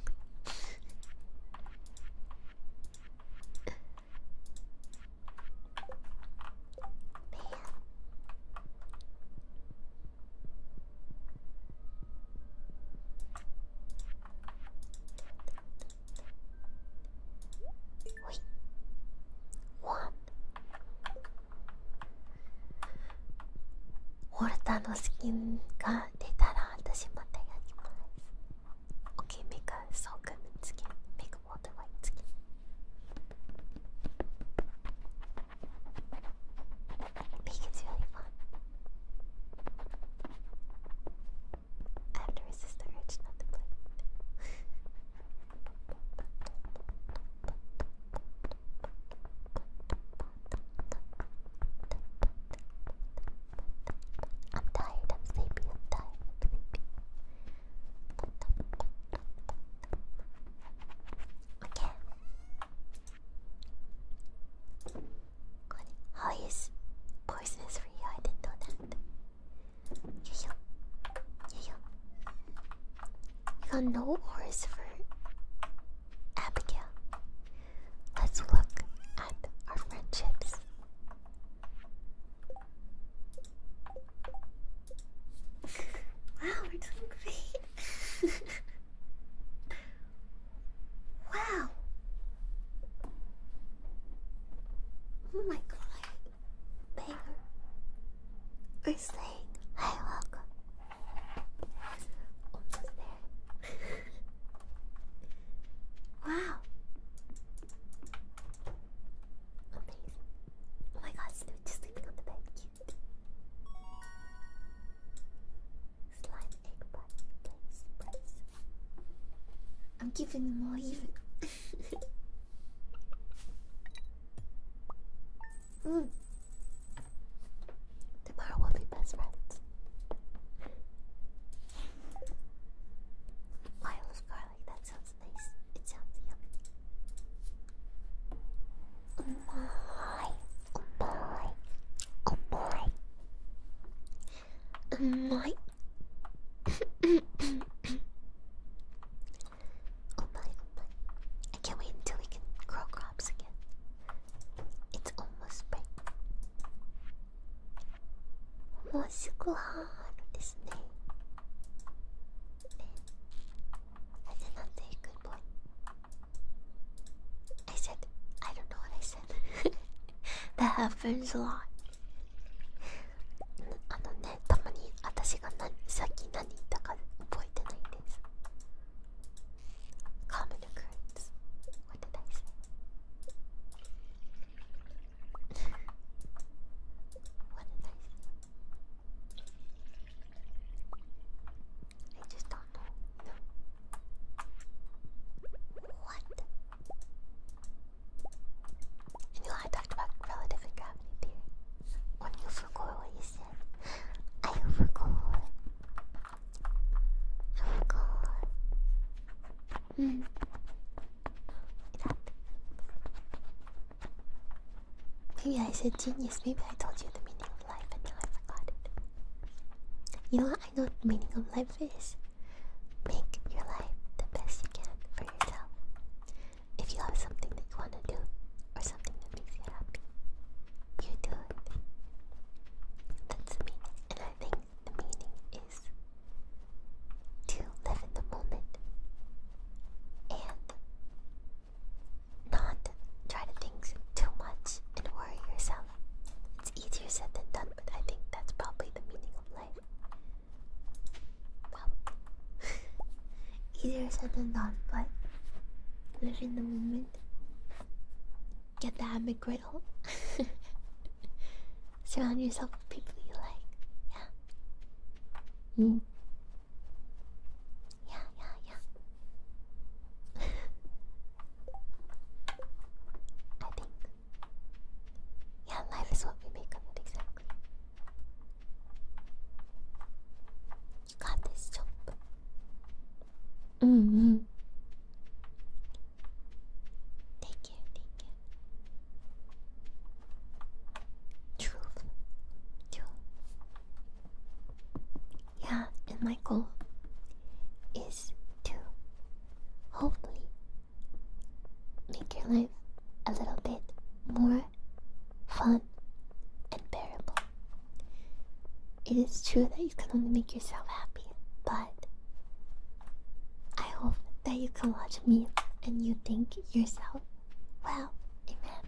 ほいワンウォルタのスキンが出たら私またやります OK make a so good skin make a water white skin make it really fun I have to resist the urge not to play I'm tired, I'm sleepy, I'm tired, Okay. How is poisonous for you? I didn't know that. You yo. Yo yo. We got no ores for Abigail. Let's look at our friendships. [laughs] wow, we're doing great. [laughs] wow. Oh my god. Banger. We're saying hi, welcome. Almost there. [laughs] wow. Amazing. Oh my god, Snoop just sleeping on the bed. Cute. Slime egg button. Place, I'm giving them all even mm. Tomorrow we'll be best friends. Wireless garlic, that sounds nice. It sounds yummy. Oh my, oh, oh my oh my, oh my. I can't wait until we can grow crops again. It's almost spring. もうすぐ春ですね。I said not say good boy. I said, I don't know what I said. [laughs] that happens a lot. あのねたまに私がなさっき何言ったか覚えてないですカーメルクイズ覚えてないです覚えてないですえちょっとあの What? I knew I talked about relative gravity theory. When you forgot what you said, I forgot. forgot. Hmm. Maybe I said genius. Maybe I told you the meaning of life, and now I forgot it. You know what I know the meaning of life is? Make your life the best you can for yourself. If you have something that you want to do or something that makes you happy, you do it. That's the meaning. And I think the meaning is to live in the moment and not try to think too much and worry yourself. It's easier said than done, but I think that's probably the meaning of life. [laughs] Either said or not, but live in the moment. Get the habit [laughs] Surround yourself with people you like. Yeah. Hmm. Yeah, yeah, yeah. [laughs] I think yeah, life is what we make of it, exactly. got this job. Mm hmm. Take care, take Truth. Truth. Yeah, and my goal is to hopefully make your life a little bit more fun and bearable. It is true that you can only make yourself happy, but I hope that you can watch me and you think yourself, well. amen.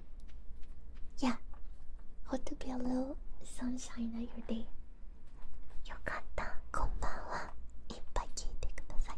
Yeah, hope to be a little sunshine at your day. よかった、こんばんは。いっぱい聞いてください。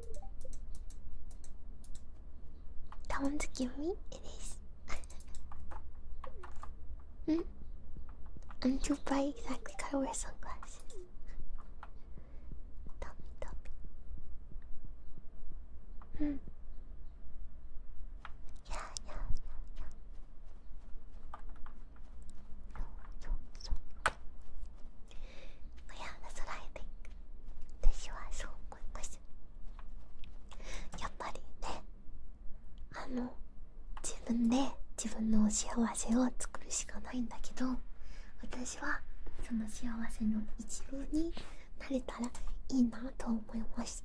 That one give me? It is. mm. I'm too bright exactly Got to wear sunglasses. Tell me, tell me. Hmm. Yeah, yeah, yeah, yeah. No, so. 不要的スライディング私はそう思いますやっぱりねあの自分で自分の幸せを作るしかないんだけど私はその幸せの一部になれたらいいなと思います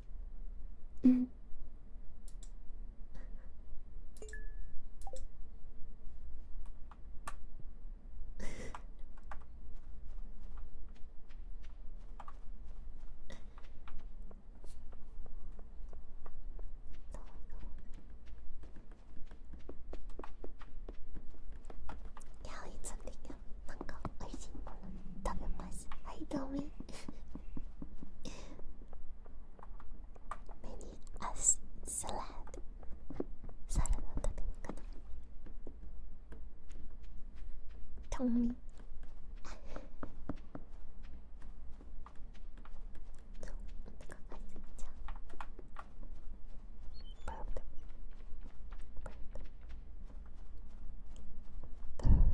うんやいつってなんか美味しいもの食べますはいどうも Maybe as サラダサラダ食べに行かないトンミあそうお腹がすいちゃうバーブバーブバーブ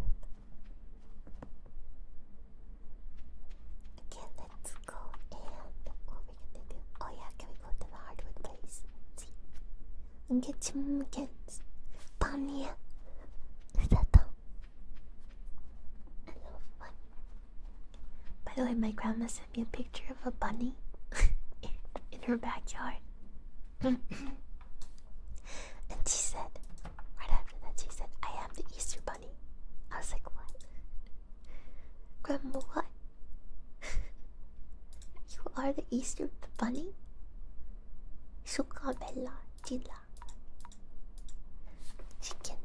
Okay, let's go and open Oh yeah, can we go to the hardwood place? See? get some kids. Pania. Is By the way, my grandma sent me a picture of a bunny [laughs] in her backyard. [laughs] and she said, right after that, she said, I am the Easter bunny. I was like, what? Grandma, you are the Easter bunny? Sucabella Dilla Chicken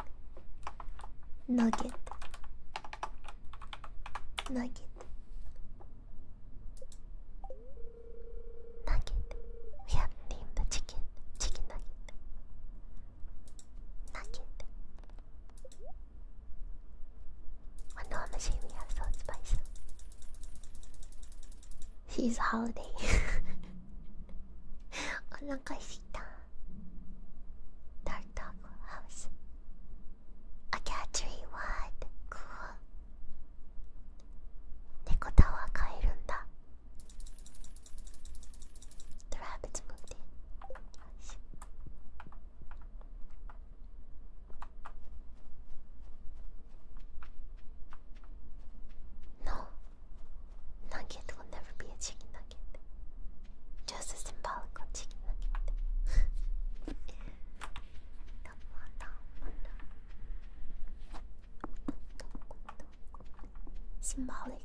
Nugget Nugget Nugget We have named the chicken Chicken Nugget Nugget I know I'm assuming we have salt spice. She's holiday. お腹すいた。Dark dog house. A cat tree, what? Cool. 猫タワー買えるんだ。The rabbits moved in. よし。No, nugget will never be a chicken nugget. Just a symbolical chicken nugget. [laughs] Symbolic.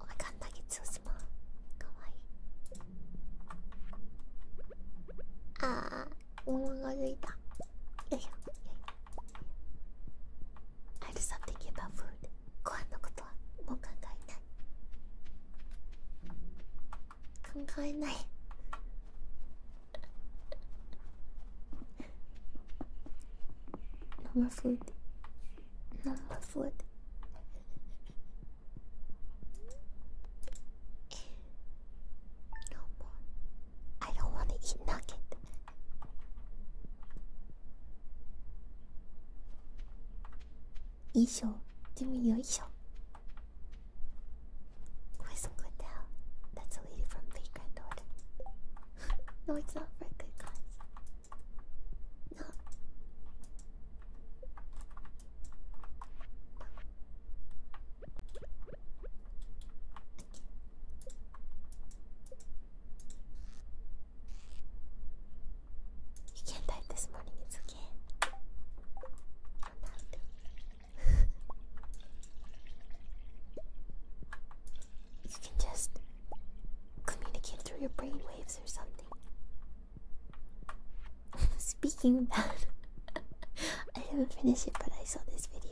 おかんなげつおしまかわいいああおもがついたよいしょよい I do something a ご飯のことはもう考えない考えない生 o m o Not my food. No more. I don't want to eat nugget. Isho, give me your Isho. Kristen Goodell, that's a lady from Vagrant Order. [laughs] no, it's not Record Cards. No. You can't type this morning, it's You can just communicate through your brain or something. [laughs] Speaking of that, [laughs] I did not finish it, but I saw this video.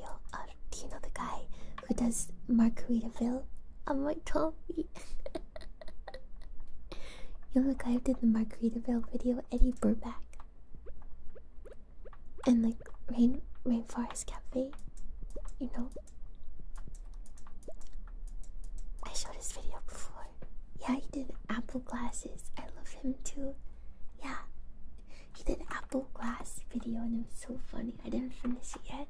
do you know the guy who does Margaritaville? on am like [laughs] you know the guy who did the Margaritaville video, Eddie Burback, and like Rain Rainforest Cafe. You know, I showed this video before. Yeah, he did apple glasses. I love him too. Yeah, he did apple glass video and it was so funny. I didn't finish it yet.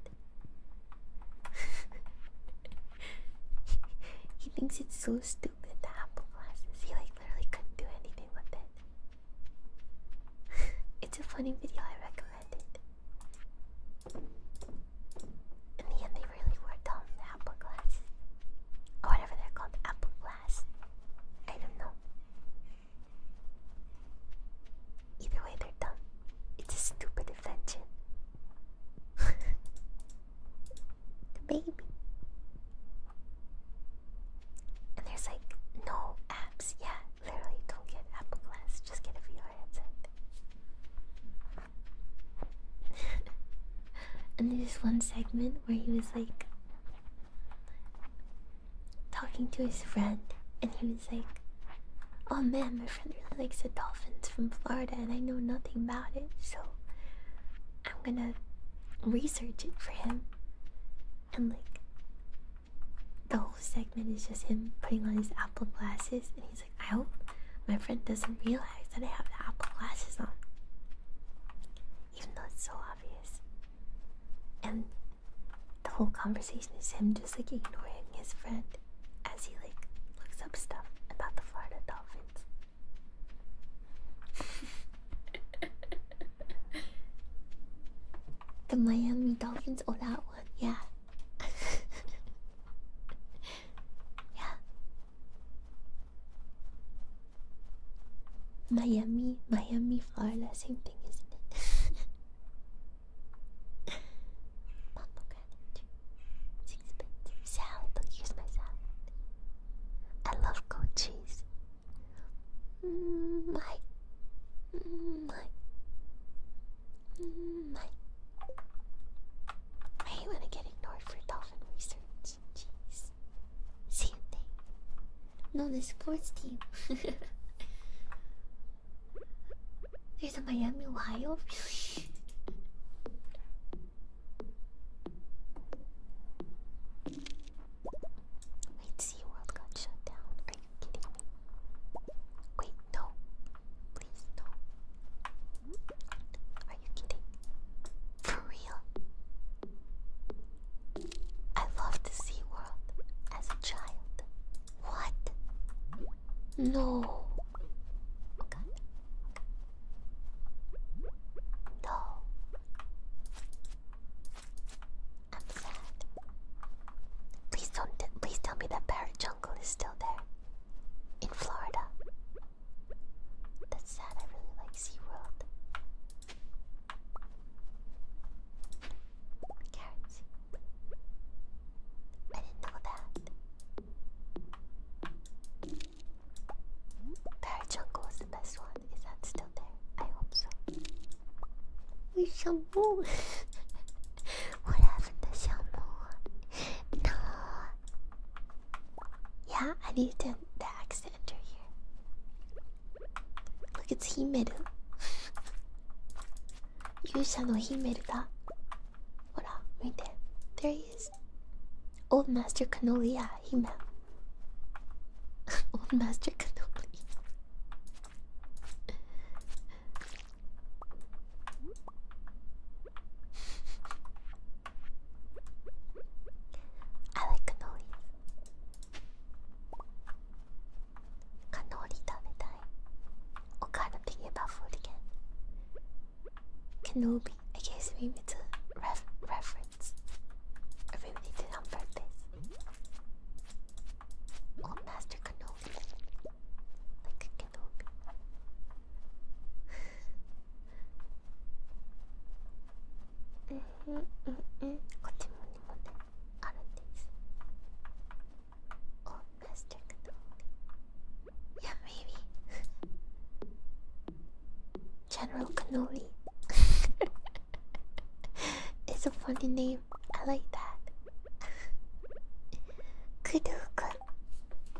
[laughs] he thinks it's so stupid, the apple glasses. He like literally couldn't do anything with it. [laughs] it's a funny video, I recommend it. In the end, they really were dumb. apple glass. Or whatever they're called. Apple glass. I don't know. Either way, they're dumb. It's a stupid invention. [laughs] the baby. And there's like no apps. Yeah, literally don't get Apple Glass. Just get a VR headset. [laughs] and there's this one segment where he was like talking to his friend, and he was like, Oh man, my friend really likes the dolphins from Florida, and I know nothing about it, so I'm gonna research it for him. And like, the whole segment is just him putting on his Apple glasses, and he's like. I hope my friend doesn't realize that I have the Apple glasses on, even though it's so obvious. And the whole conversation is him just like ignoring his friend as he like looks up stuff about the Florida dolphins. [laughs] the Miami Dolphins, or that one, yeah yeah. Miami, Miami, Florida, same thing, isn't it? [laughs] Pomegranate, sixpence, salad. here's my salad. I love goat cheese. Mm, my, mm, my, mm, my. I hate when I get ignored for dolphin research. Jeez. Same thing. No, the sports team. [laughs] There's a Miami, Ohio? [laughs] Really? Wait, SeaWorld got shut down. Are you kidding me? Wait, no please, no. Are you kidding? For real? I loved Sea World as a child. What? No. No. I'm sad. Please don't. Please tell me that parrot jungle is still there in Florida. That's sad, I really like SeaWorld. Carrots. I didn't know that. Parajungle was the best one. Is that still there? I hope so. We shampoo. [laughs] what happened to shampoo? [laughs] No. Yeah, I need to, the axe enter here. Look, it's Himeru. Yusha no Himeru da. Hora, right there. There he is. Old Master Canolia Hime. [laughs] Old Master Canolia. I like cannoli. Cannoli 食べたい。I'm kinda thinking about food again. Kenobi. I guess maybe it's a ref reference. Or did on purpose. Old Master Kenobi look. うんうんうんうんこっちもにもねあるんです。Oh, let's [laughs] check it out. Yeah, maybe. General Canoli. it's a funny name. I like that. [laughs] Kuduka.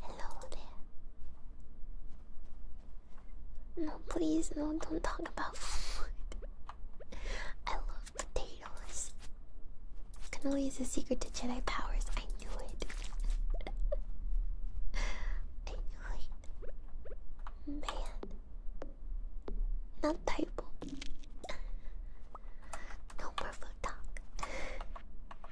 Hello there. No, please, no, don't talk about food. I love potatoes. Cannoli is the secret to Jedi powers. [laughs] I knew it. Man. Not typo. No perfect talk.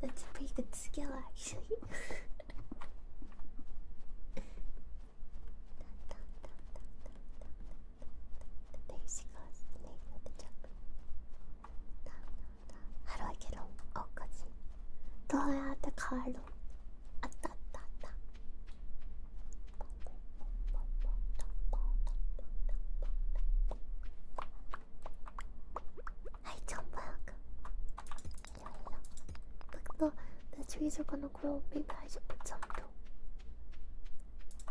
That's a pretty good skill, actually. there she goes, the name of the jump. How do I get home? Oh, gotcha. Do I have the car? あったあったあった I jump Yeah, yeah. Look, the, trees are gonna grow. big. I should put some too.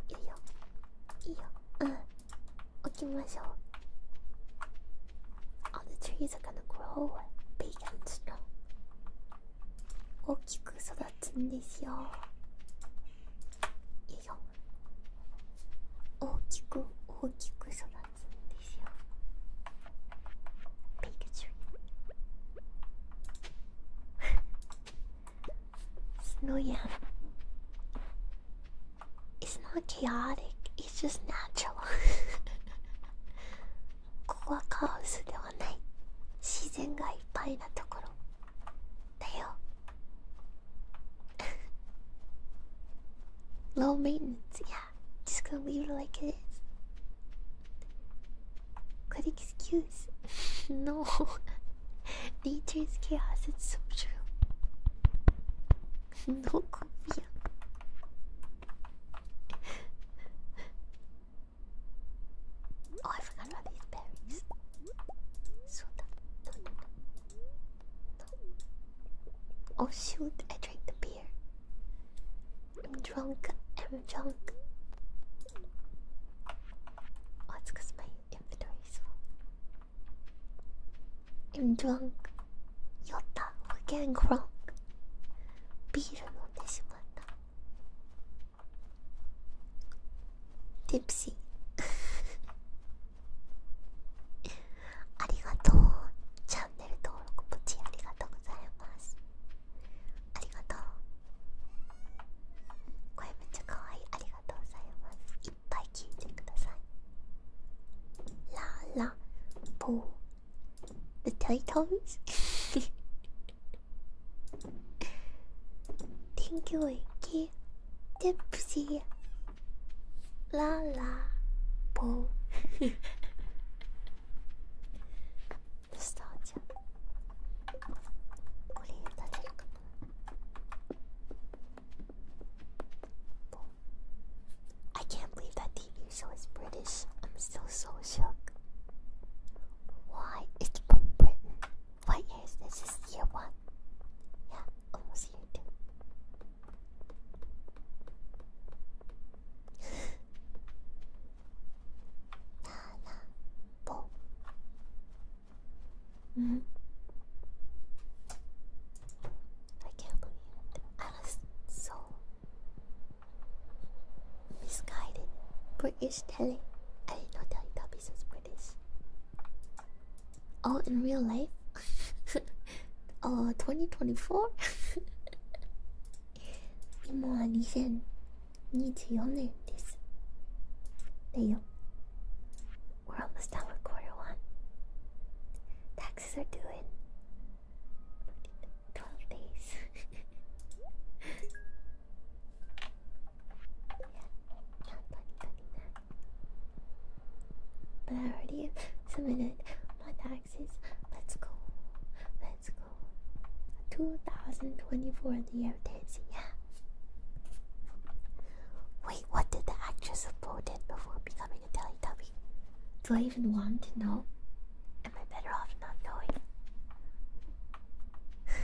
Yeah, yeah. Yeah. Uh, okay, All the trees are gonna grow big and strong. 大きく育つんですよ。いいよ。大きく大きく育つんですよ。ピクチュ It's no yam. It's not chaotic. It's just natural. [laughs] ここはカオスではない。自然がいっぱいなところ。Damn. Low maintenance, yeah. Just gonna leave it like it is. Good excuse. [laughs] no. [laughs] Nature's chaos, it's so true. [laughs] no, Korea. Oh, I forgot about these berries. Oh shoot! I drank the beer. I'm drunk. I'm drunk. Oh, it's because my inventory full. I'm drunk. Yotta, we're getting drunk. ビール飲んでしまったテプシありがとうチャンネル登録ポチありがとうございますありがとう声めっちゃ可愛いありがとうございますいっぱい聞いてくださいラーラポー The t i [laughs] 탱교에게 탭시 라라보 nostalgia 우리 다들 I can't believe that TV show is British. I'm still so shook. Why? It's from Britain. What year is this? is year one. Yeah, almost year two. la [laughs] -hmm. I can't believe it. I was so misguided. British telly. I didn't know Teletubbies was British. Oh, in real life? oh, 2024? 今は2024年です。だよ。We're almost done with quarter one. Taxes are due in 12 days. [laughs] But I already submitted my taxes. Let's go. Let's go. 2024 the year of dancing, yeah. Wait, what did the actress of Bo did before becoming a Teletubby? Do I even want to know? Am I better off not knowing? [laughs]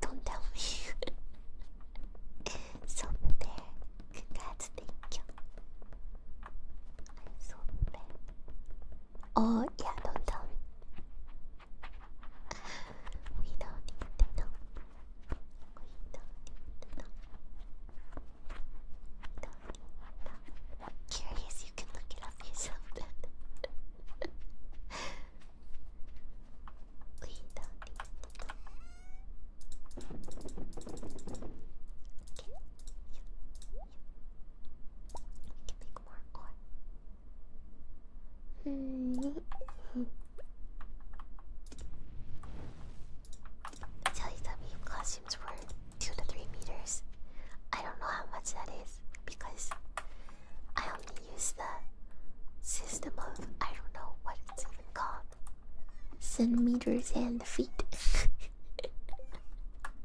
Don't tell me. Someday, congrats, thank you. Someday. Oh, yeah, don't tell me. We don't need to know. We don't need to know. We don't need to know. Curious you can look it up yourself [laughs] we don't need it. Okay. Yeah. make more corn. Tell you were two to three meters. I don't know how much that is because I only use the system of I don't know what it's even called. Centimeters and feet.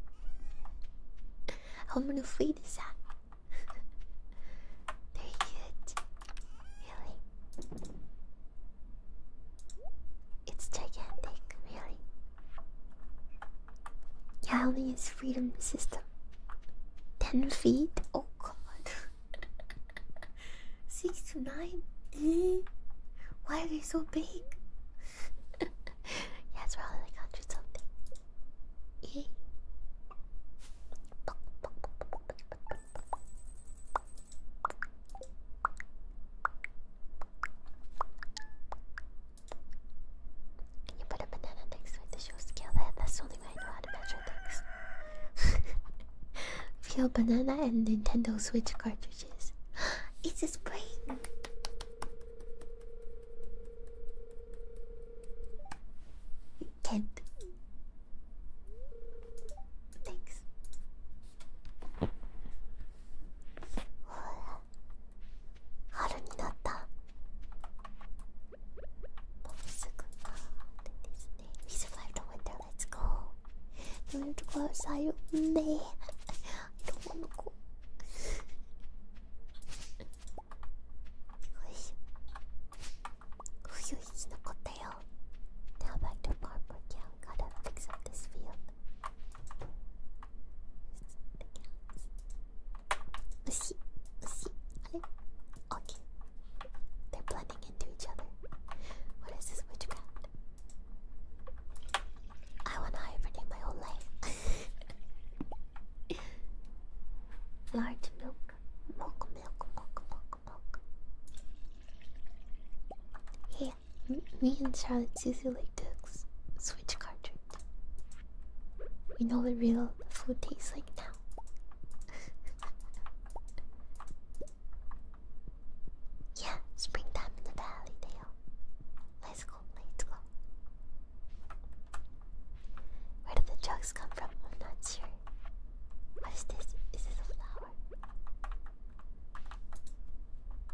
[laughs] How many feet is that? Very [laughs] good. Really? It's gigantic, really. Yali's freedom system. Ten feet? Oh god. [laughs] Six to nine? Eh? Why are they so big? [laughs] yeah, it's probably like hundred something. Eh? Can you put a banana next to it to scale? that's the only way I know how to measure things. [laughs] Real banana and Nintendo Switch cartridges. [gasps] it's a spring! Can't. Thanks. Haru we survived the winter, let's go. You have to go outside with me. I don't to go. He's not got Now back to Barbara Cow. Gotta fix up this field. Let's see, let's see. Okay, they're blending into each other. What is this witchcraft? I wanna hibernate my whole life. [laughs] Large milk, milk, milk, milk, milk, milk. Hey, me and Charlotte Susie like to switch cartridge. We know what real food tastes like now. yeah, springtime in the valley, Let's go, let's go. Where did the drugs come from? I'm not sure. What is this? Is this a flower?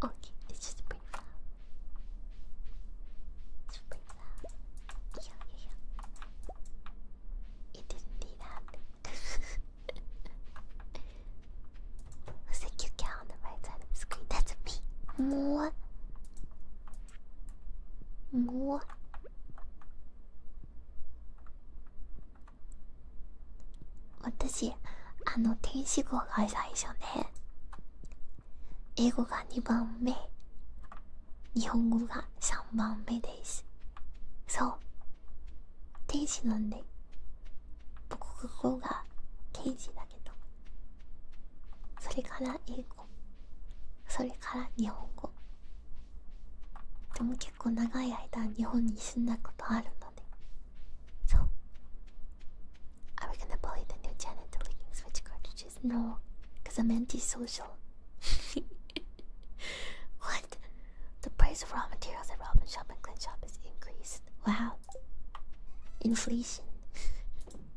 Okay, it's just a pretty flower. It's a pretty flower. いやいやいや言っていいなって Thank you, cat on the right side of the screen. That's me. More. More. What does he? あの天使語が最初ね英語が2番目日本語が3番目ですそう天使なんで僕国語が刑事だけどそれから英語それから日本語でも結構長い間日本に住んだことあるのでそう Are we gonna bully the No, because I'm antisocial. [laughs] what? The price of raw materials at Robin Shop and Clint Shop is increased. Wow. Inflation.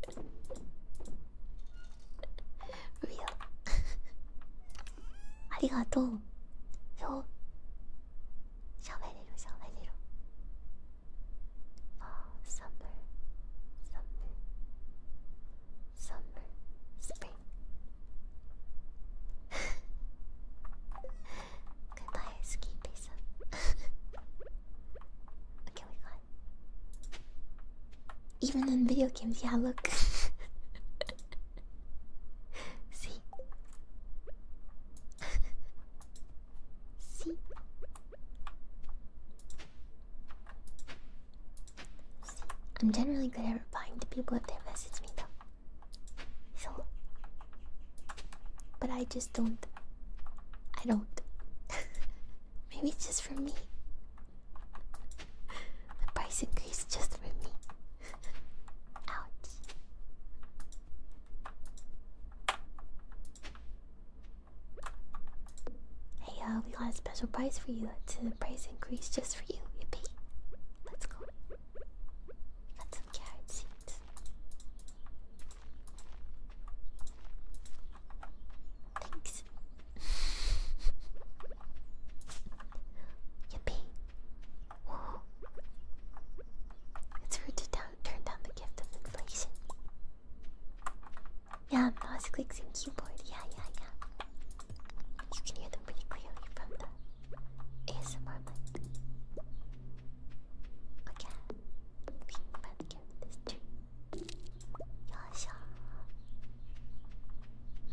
[laughs] Real. [laughs] Arigato summer, spring. [laughs] Goodbye, ski pizza. [laughs] okay, we got it. Even in video games, yeah, look. [laughs] See? See? I'm generally good at replying to people if they message me though. but I just don't I don't [laughs] Maybe it's just for me. The price increase just for me. [laughs] Ouch. Hey, uh, we got a special price for you. To the price increase just for you. Yippee! Let's go. got some carrot seeds. Thanks. [laughs] Yippee! It's rude down turn down the gift of inflation. Yeah, mouse clicks and keyboard. Yeah, yeah, yeah. You can hear them pretty clearly from the ASMR mic. Okay, we might get this Yasha.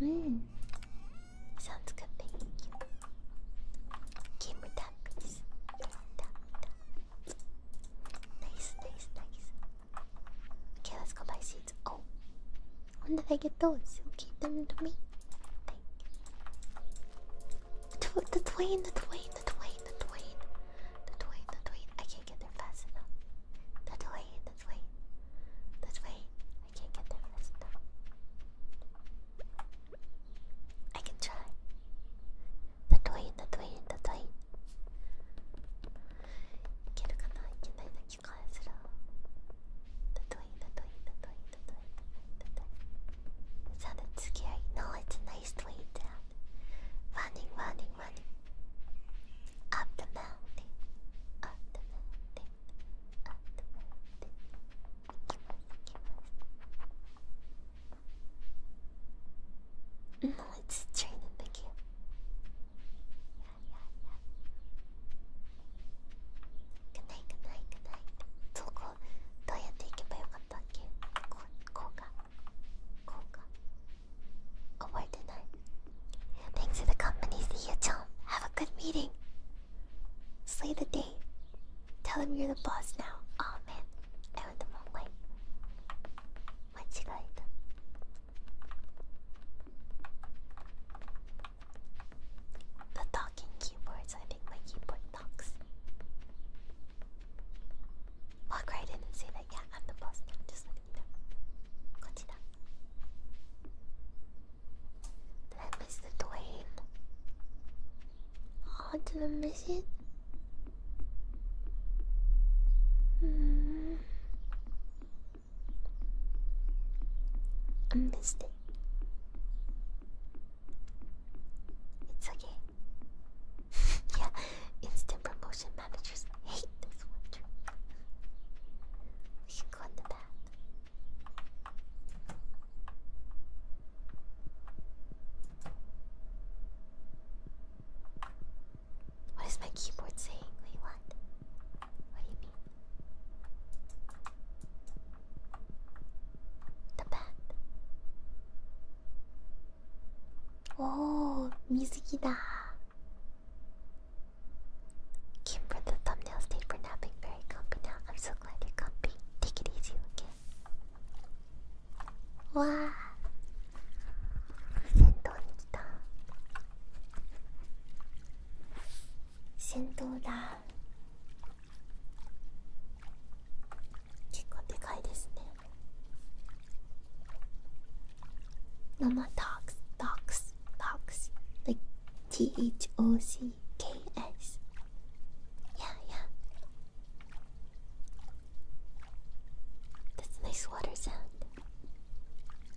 Mmm. Sounds good, thank you. Gamer tap, Nice, nice, nice. Okay, let's go buy seeds. Oh, when did I get those? Who gave them to me? Thank you. The Twain, the Twain, the Twain, the Twain, the Twain, the Twain. I can't get there fast enough. The Twain, the Twain, the Twain. I can't get there fast enough. I can try. The Twain, the Twain, the Twain. いけるかないけないな気がするだといいだといいだといいだといいだといい scary. No, it's nice way Running, running, running. Up the mountain. Up the mountain. Up the mountain. No, it's training the game good night good night good night そこどうやって行けばよかったっけここうかこうか覚えてない Thanks for the company see you Tom. have a good meeting slay the day tell them you're the boss now oh man I went the wrong way 間違えた the talking keyboards, I think my keyboard talks. Walk right in and say that, yeah, I'm the boss just let me know. Continue. Did I miss the Dwayne? Oh, did I miss it? Mm. I'm listening. It's okay. [laughs] yeah, instant promotion managers hate this one. We should go in the what is my keyboard saying? what? What do you mean? The bat. Oh, music da. Kim for the thumbnail stayed for napping. Very comfy now. I'm so glad you're comfy. Take it easy, okay? Wow. 戦闘に来た戦闘だ結構でかいですね生トークストークストークス like T-H-O-C-K-S yeah yeah that's nice water sound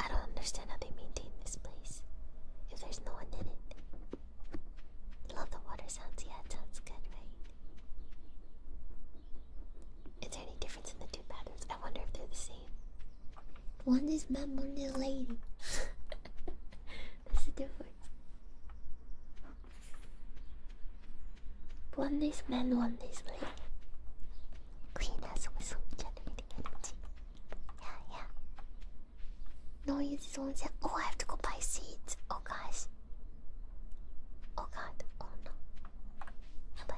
I don't understand how they maintain this place if there's no one in it. Love the water sounds, yeah, it sounds good, right? Is there any difference in the two patterns? I wonder if they're the same. One is man, one is lady. [laughs] This is different. One is man, one is lady. Clean as with some generating energy. Yeah, yeah. No use on that. Oh, I have to go buy seeds. Oh, gosh. Oh, God. Oh, no. How about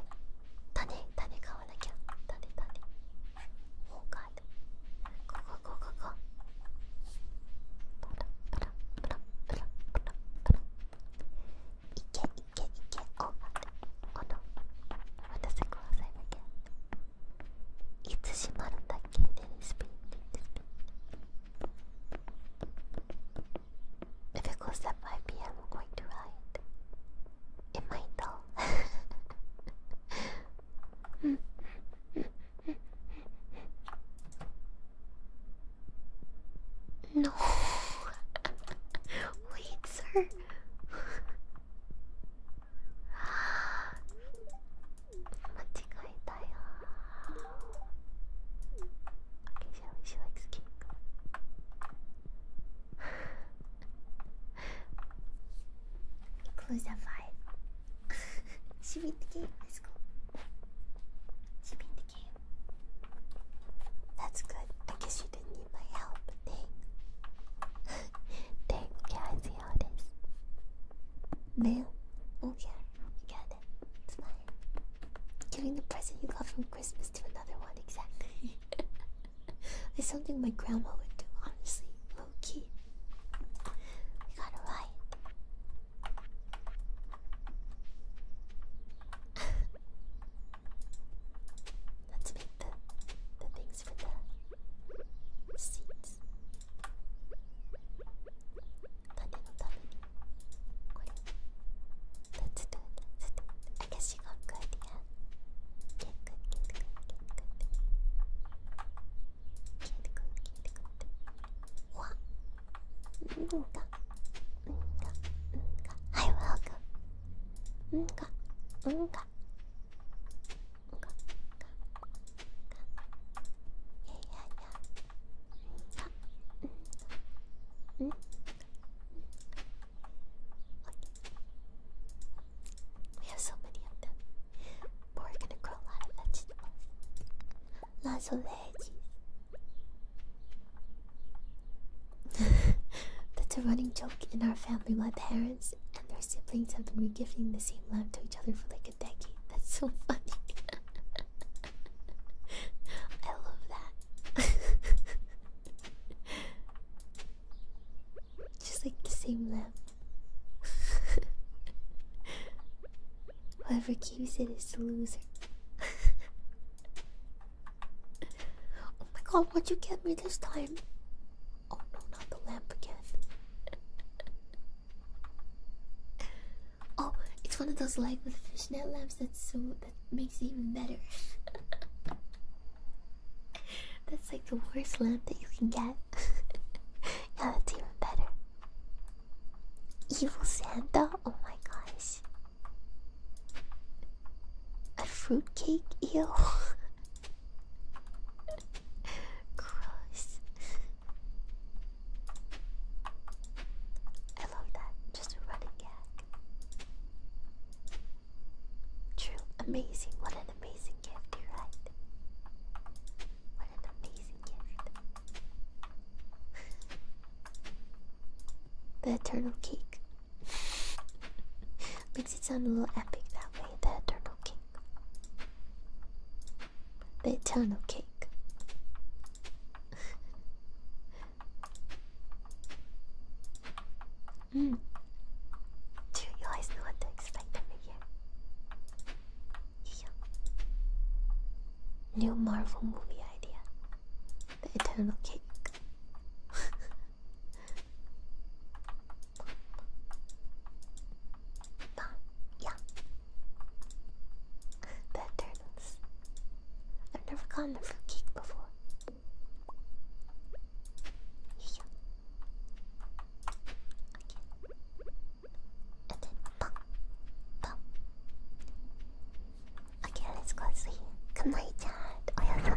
Tane? Tane, go on again. Tane, Tane. Oh, God. Go, go, go, go, go. いけいけいけお待ってこの私くださいだけいつ閉まるんだっけでスピンでスピン If it goes at 5 p.m., I'm going to ride. It might though. no. [laughs] Wait, sir. Okay, shall She likes cake. Close at five. [laughs] she beat the game. Let's go. She beat the game. That's good. I guess didn't my help. Dang. Dang, okay, I see how it is. Man, okay, you got it. It's fine. Giving the present you got from Christmas to another one, exactly. [laughs] It's something my grandma would do, honestly. Low key. We got it right. [laughs] Let's make the, the things for the seeds. 種のためにこれ Let's do it, let's do it. I guess you got good, yeah. Get good, get good, get good. Get good, get good. What? うんが、うんが、うんが。はい、welcome. We have so many of them. we're gonna grow a lot of vegetables. Lots of veggies. [laughs] That's a running joke in our family. My parents and their siblings have been regifting the same lamp to each other for like a decade. That's so funny. [laughs] I love that. [laughs] Just like the same lamp. Whoever keeps it is the loser. Oh my god, what'd you get me this time? Oh no, not the lamp again. oh, it's one of those like with fishnet lamps that's so that makes it even better. [laughs] that's like the worst lamp that you can get. [laughs] yeah, that's even better. Evil Santa? Oh my gosh. A fruitcake? eel. [laughs] Gross. I love that. Just a running gag. True. Amazing. What an amazing gift, right. What an amazing gift. [laughs] the eternal cake. Makes it sound a little epic that way. The eternal king. The eternal cake. [laughs] mm. you guys know what to expect every year? New Marvel movie idea. The eternal cake. [laughs] Bah, yeah. Bad turtles. I've never gotten a fruitcake before. Yeah. Okay. And then bum. Okay, let's go see. Good night, Dad. Oh yeah,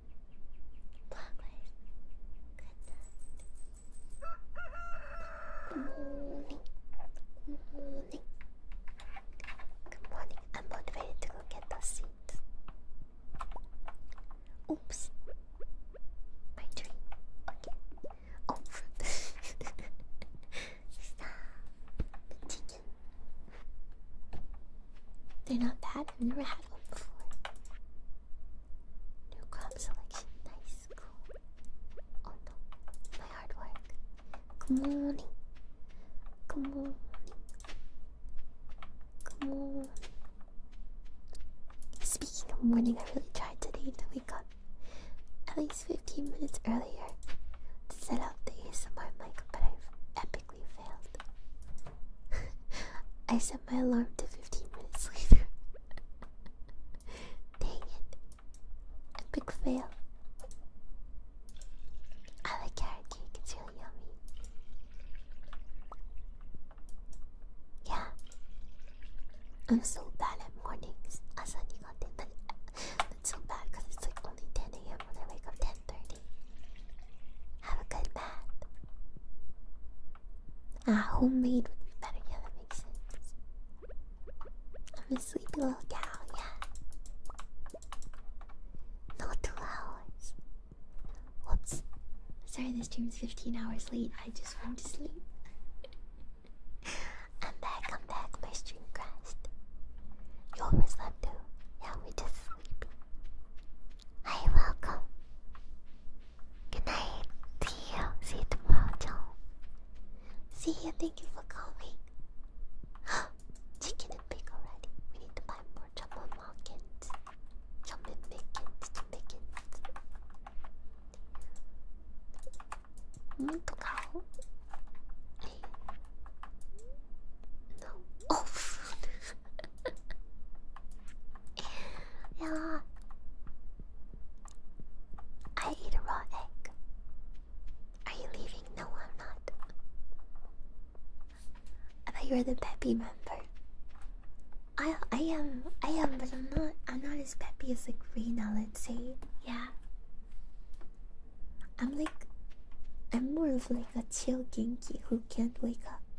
Progress. Good night. [laughs] Good morning. Good morning. I'm motivated to go get the seat. Oops. My tree. Okay. Oh. The chicken. They're not bad. I've never had one before. New crop selection. Nice. Cool. Oh no. My hard work. Good morning. Good morning. Good morning. Speaking of morning, I really tried today to wake up at least 15 minutes earlier to set up the ASMR mic, but I've epically failed. [laughs] I said my alarm to 15 minutes later. [laughs] Dang it. Epic fail. I like carrot cake, it's really yummy. Yeah. I'm so bad at mornings. Asani got it, but [laughs] so bad because it's like only 10 a.m. when I wake up 10.30. Have a good bath. Ah, homemade would be better. Yeah, that makes sense. I'm a sleepy little gal, yeah. Not two hours. Sorry, this stream's 15 hours late. I just went to sleep. [laughs] I'm back, I'm back. My stream crashed. You overslept too. Yeah, we just sleepy. Hi, welcome. Good night. See you. See you tomorrow, See you. Thank you for coming. [gasps] Chicken and pig already. We need to buy more jumbo markets. Jumbo pickets. Pickets. Need to go. [laughs] Oh. [laughs] [sighs] yeah. I eat a raw egg. Are you leaving? No, I'm not. I bet you're the peppy member. I I am I am, but I'm not I'm not as peppy as like Rena, let's say. Yeah. I'm like I'm more of like a chill Genki who can't wake up.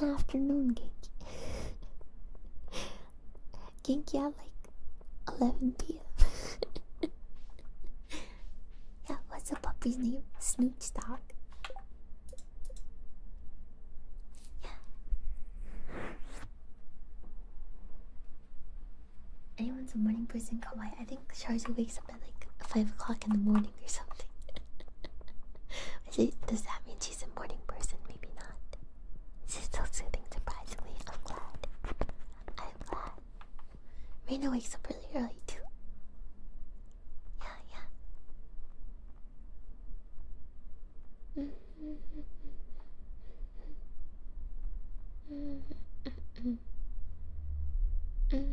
an afternoon Genki. Genki at like 11 p.m. [laughs] yeah, what's the puppy's name? Snooch Yeah. Anyone's a morning person, kawaii. I think Sharza wakes up at like 5 o'clock in the morning or something. [laughs] does that mean she's a morning person? Maybe not. She's still soothing, surprisingly. I'm glad. I'm glad. Reina wakes up really early too. Yeah, yeah. [laughs]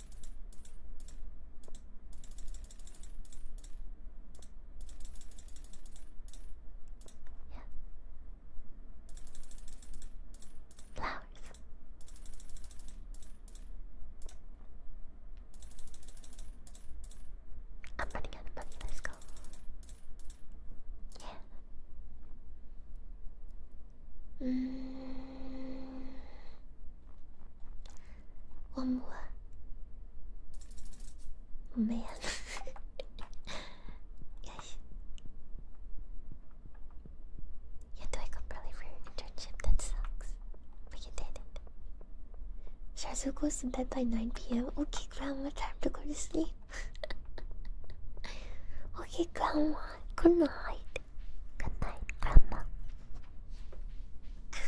Yeah. Flowers. I'm running out of money, let's go. Yeah. Mm. One more. Oh, man. [laughs] yes. You had to wake up for your internship. That sucks. But did it. Shazu goes bed by 9 p.m. Okay, Grandma, time to go to sleep. [laughs] okay, Grandma night, good night. Good night, Grandma. [laughs]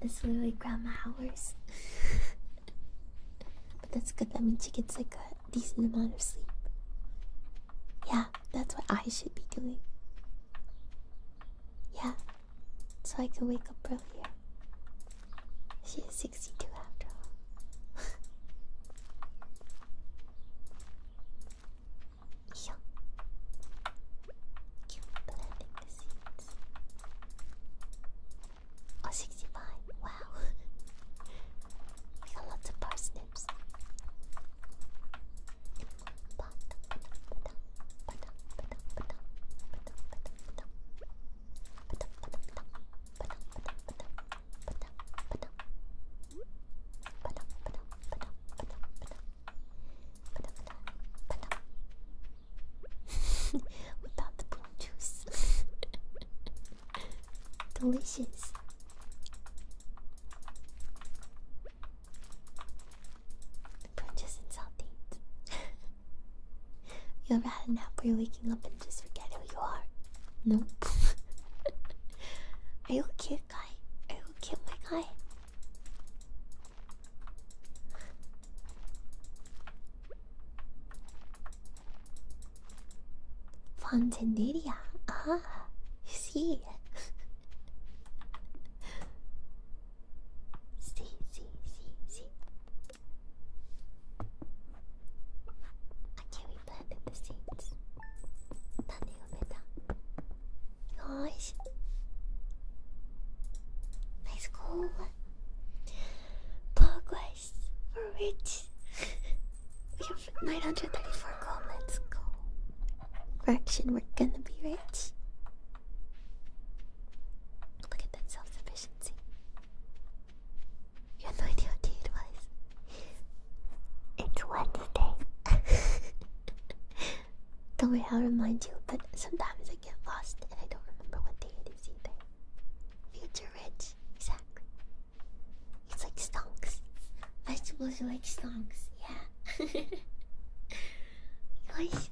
it's literally Grandma hours. [laughs] but that's good, that means she gets like a decent amount of sleep. Yeah, that's what I should be doing. Yeah, so I can wake up earlier. She is 62 after all. [laughs] Yo. Keep planting seeds. Oh, Wow. [laughs] we got lots of parsnips. Without the prune juice, [laughs] delicious. Prune and saltines. [laughs] You'll a nap. We're waking up and just forget who you are. No. [laughs] Are you okay, guy? I will kill my guy? Fontaneria. Ah, you [laughs] see. see, see, see cherry planted the seeds. Tane umeda. Yosh. Nice goal. Progress for which [laughs] we have 934 comments. let Fraction, we're gonna be rich. Look at that self sufficiency. You have no idea what day it was. It's Wednesday. [laughs] don't worry, I'll remind you, but sometimes I get lost and I don't remember what day it is either. Future rich, exactly. It's like stonks. Vegetables are like stonks, yeah. [laughs] Guys,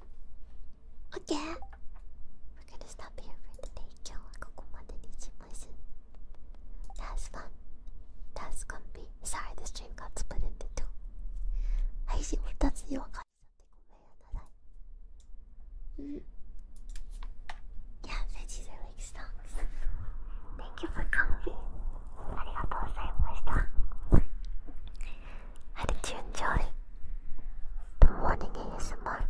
okay. We're gonna stop here for today. 今日はここまでにします。That's fun. That's gonna be. Sorry, the stream got split into two. 配信2つに分かっちゃってごめんなさい。うん。Yeah, veggies are like stonks. Thank you for coming. ありがとうございました。How did you enjoy the morning ASMR?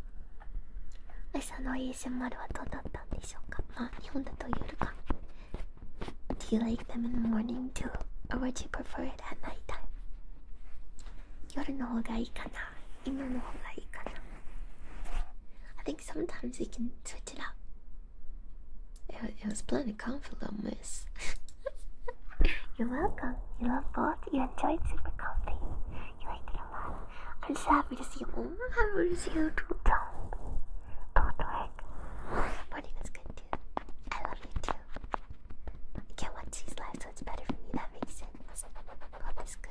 朝の ASMR ASMR はどうだったんでしょうかまあ日本だと夜か Do you like them in the morning too? Or would you prefer it at night time? 夜の方がいいかな今の方がいいかな I think sometimes we can switch it up It, it was plenty comfortable, miss You're welcome. You love both. You enjoyed Super Comfy. You liked it a lot. I'm so happy to see you. I'm happy to see you too, Don't work. Morning is good too. I love you too. I can't watch these live, so it's better for me. That makes sense. God is good.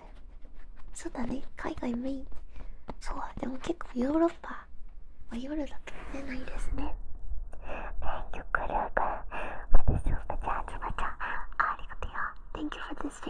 そうだね、海外メイン。そう、でも結構ヨーロッパは夜だと寝ないですね。Thank you, Kuruka, for this super chat, super chat. ありがとう。Thank you for this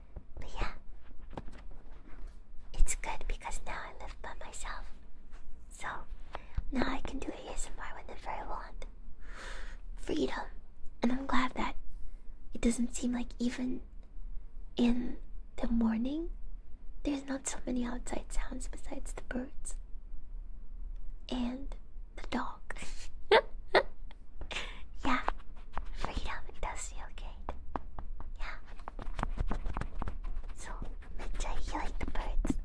But yeah, it's good because now I live by myself. So now I can do ASMR whenever I want. Freedom. And I'm glad that it doesn't seem like even in the morning there's not so many outside sounds besides the birds. And the dog. [laughs] yeah, freedom does feel good. Yeah. So, make you like the birds.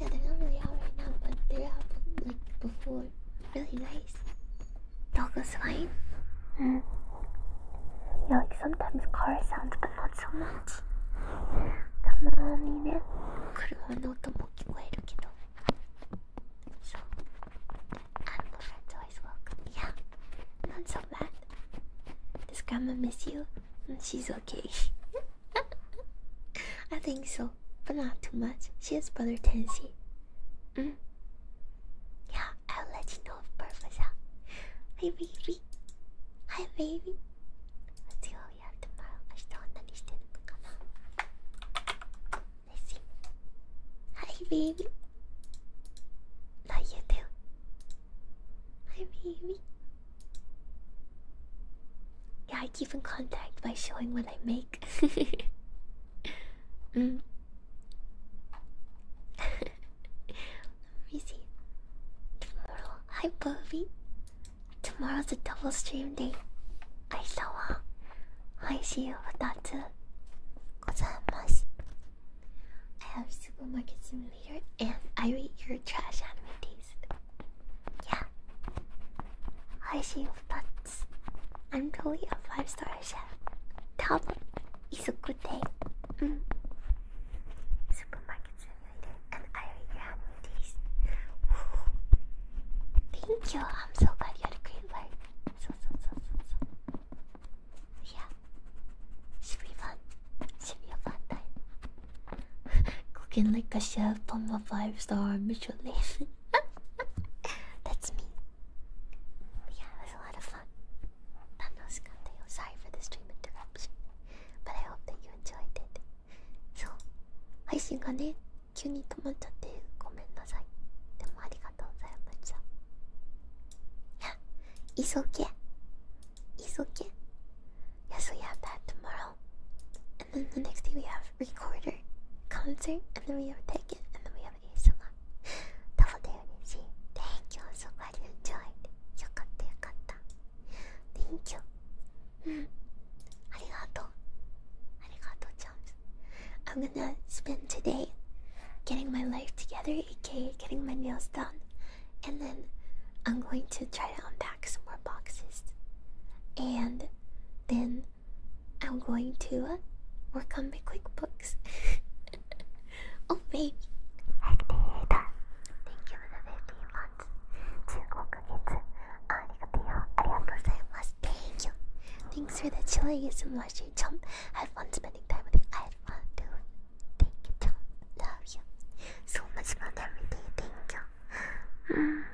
Yeah, they're not really out right now, but they're like before. Really nice. Dog was fine. Mm. Yeah, like sometimes car sounds, but not so much. たまにね、車乗ったも聞こえるけど。so, and Loretto is welcome. Yeah, not so bad. Does Grandma miss you? She's okay. I think so, but not too much. She has brother Tensi. Mm. Yeah, I'll let you know of purpose. Huh? Hi baby. Hi baby. see what tomorrow. I just understand let Hi, baby. Not you too. Hi, baby. Yeah, I keep in contact by showing what I make. [laughs] mm. [laughs] Let Tomorrow. Hi, Bobby. Tomorrow's a double stream day. 愛さんは配信を2つございます。I have supermarket simulator and I read your trash anime taste. Yeah. 配信2つ I'm totally a 5 star chef. 多分 It's a good day. うん。Supermarket mm. simulator and I read your taste. Thank you. I'm so glad you had a great life. Yeah, should be fun. Should be fun Cooking like a chef on my five-star Michelin. That's me. Yeah, it was a lot of fun. I'm Sorry for the stream interruption, but I hope that you enjoyed it. So, I 配信がね急に止まっちゃってごめんなさいでもありがとうございましたいや It's okay It's okay Yeah so you have that tomorrow and then the next day we have recorder concert and then we have taken and then we have ASMR ダボだよねし Thank you so much enjoyed よかったよかった Thank you うんありがとうありがとうち I'm gonna spend today getting my life together, aka getting my nails done, and then I'm going to try to unpack some more boxes. And then I'm going to work on my QuickBooks. [laughs] oh, baby. Thank you for the 15 months. Uh, uh, 15 Thank you. Thanks for the chili and some I have fun spending time with you. I have fun, dude. Thank you, Love you. So much fun every day. Thank you.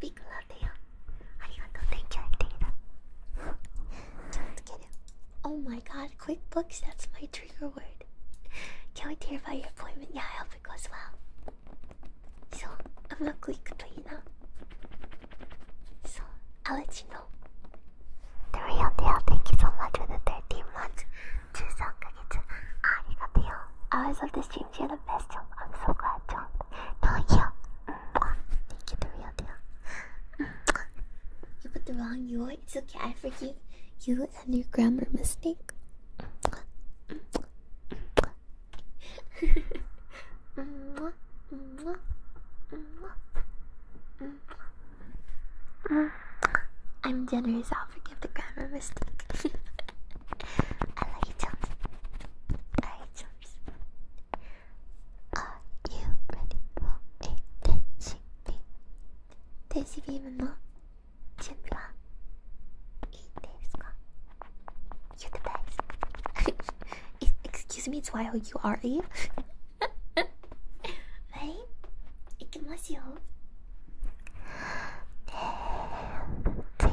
Big love to you. thank you, Oh my god, QuickBooks, that's my trigger word. can we wait your appointment. Yeah, I hope it goes well. So, I'm a quick trainer. So, I'll you The real deal, thank you so much for the 13 months. Ah, Hours of the stream, you're I'm so glad, John. No, you. Thank you, the real deal. [laughs] You put the wrong your. It's okay. I forgive you and your grammar mistake. I'm generous. I'll forgive the grammar mistake. [laughs] I love you, Chums. I love you, Chums. Are you ready for a dancing beam? 電子ビームの準備はいいですか ?You the best! Excuse me, it's why you are you? はい、いきますよ。Dancing,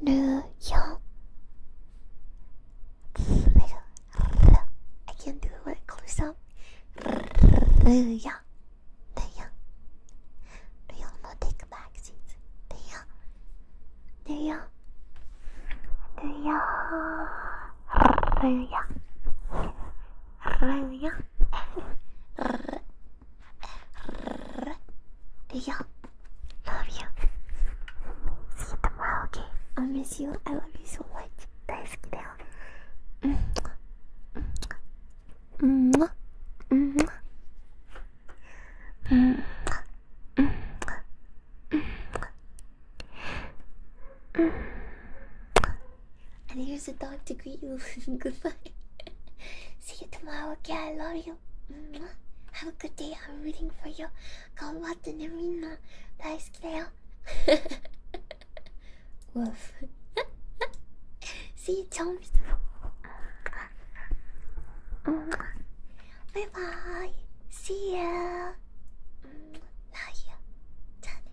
New York. I can't do it close up. New York. New York. New York, no take back seats. New York. New York. New York. Love you. See you tomorrow, okay? I miss you. I love you so much. That's [laughs] 大好きだよ。うんうんうんうんうんうんうん And here's a dog to greet you. [laughs] Goodbye. [laughs] See you tomorrow, okay? I love you. Mm-hmm. Have a good day. I'm rooting for you. Gambatte ne minna. Daisuki da yo. Woof. [laughs] See you, chums. Mm-hmm. Bye bye. See ya. Mm-hmm. you. Done.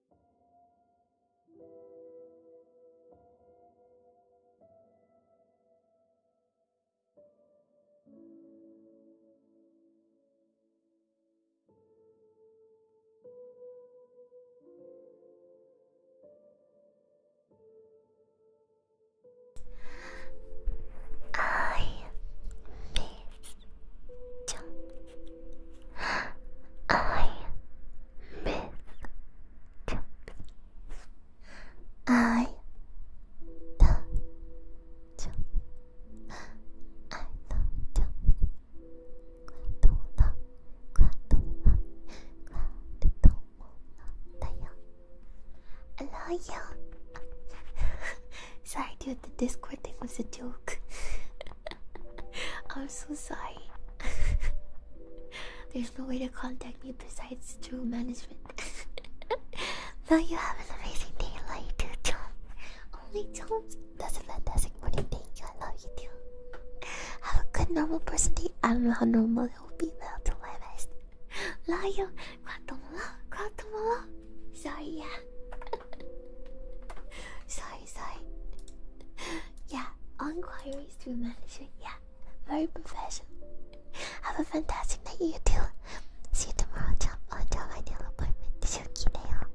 I miss I missed. I love you. I love you. I love you. Sorry, dude. The Discord thing was a joke. [laughs] I'm so sorry. [laughs] There's no way to contact me besides through management. now [laughs] you have an amazing day, like too, Only Tom. That's a fantastic morning. thing. I love you too. Have a good normal person day. I don't know how normal it will be, but I'll do my best. Love you. Sorry, yeah. [laughs] sorry, sorry. [gasps] Yeah, inquiries through management. Yeah, very professional. Have a fantastic night, you too. See you tomorrow, chump. On job ideal appointment. Shuki, they are.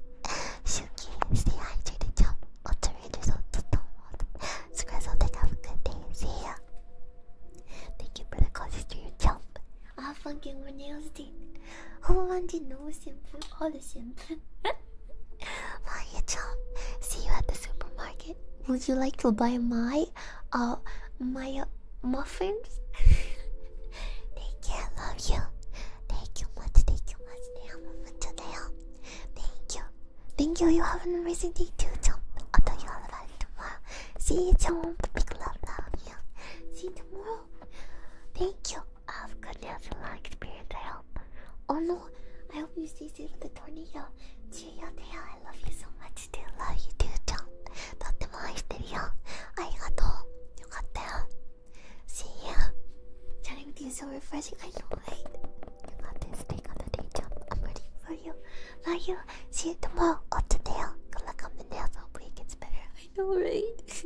Shuki, stay hydrated, chump. Ultra Rangers on the stone. Scrazzle, have a good day. See ya. Thank you for the coffee stream, chump. I fucking nails, dude. Who wanted no simple? All simple. [laughs] Bye, [laughs] Yacham. See you at the supermarket. Would you like to buy my, uh, my uh, muffins? [laughs] Thank you. I love you. Thank you much. Thank you much. Thank you. Thank you. You have an amazing day too, Chum. I'll tell you all about it tomorrow. See you, Chum. Big love, love you. See you tomorrow. Thank you of goodness and long experience, I hope. Oh no, I hope you stay safe with the tornado. Cheerio, Teo, I love you so much too. Love you too, John. Dr. Moe, Stereo. Arigato. Yokatta. See ya. Chatting with you is so refreshing. I know, right? You got this. Take on the day job. I'm ready for you. Love you. See you tomorrow. Up to Teo. Good luck on the nails. Hopefully it gets better. I know, right?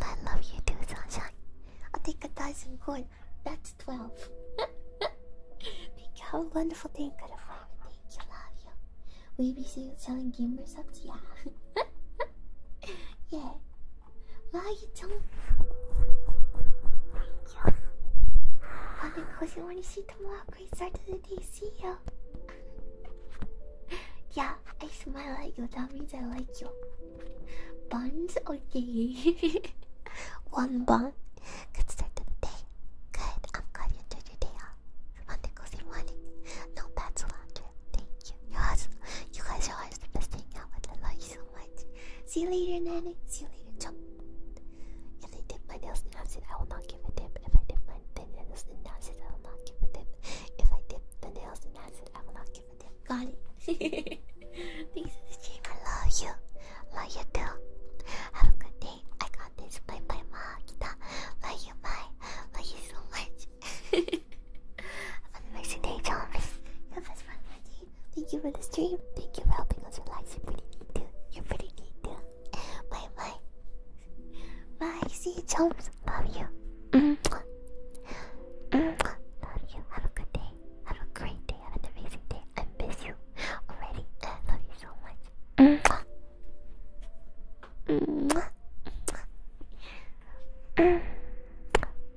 I love you too, sunshine. I'll take a thousand gold. That's twelve. [laughs] Thank you. Have a wonderful day, good friend. Thank you. Love you. Will you be selling gamer subs? Yeah. [laughs] yeah. Why are you telling? Thank you. Well, then, Jose, when you see tomorrow, great start to the day. See you. [laughs] yeah, I smile at you. That means I like you. Buns? Okay. [laughs] One bun. Good start to the day. Good. I'm glad you enjoyed your day off. Wonderful same morning. No bad cilantro. Thank you. You guys, are always the best thing out with. I love you so much. See you later, Nanny. See you later, Chump. If they dip my nails and acid, I will not give a tip. If I dip my nails and acid, I will not give a tip. If I dip the nails and acid, it. I Got it. [laughs] Thanks for the stream. I love you. Love you too. Have a good day. I got this. Bye bye, ma. Kita. Love you. Bye. Love you so much. [laughs] Have a nice day, John. Your best friend, Reggie. Thank you for the stream. Thank you for helping us relax. You're pretty neat too. You're pretty neat too. Bye bye. Bye. See you, chums. Love you. Mm-hmm. [sighs] Love you. Have a good day. Have a great day. Have an amazing day. I miss you already. I love you so much.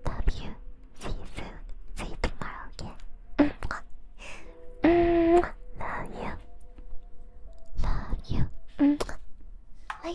Love you. See you soon. See you tomorrow again. Love you. Love you.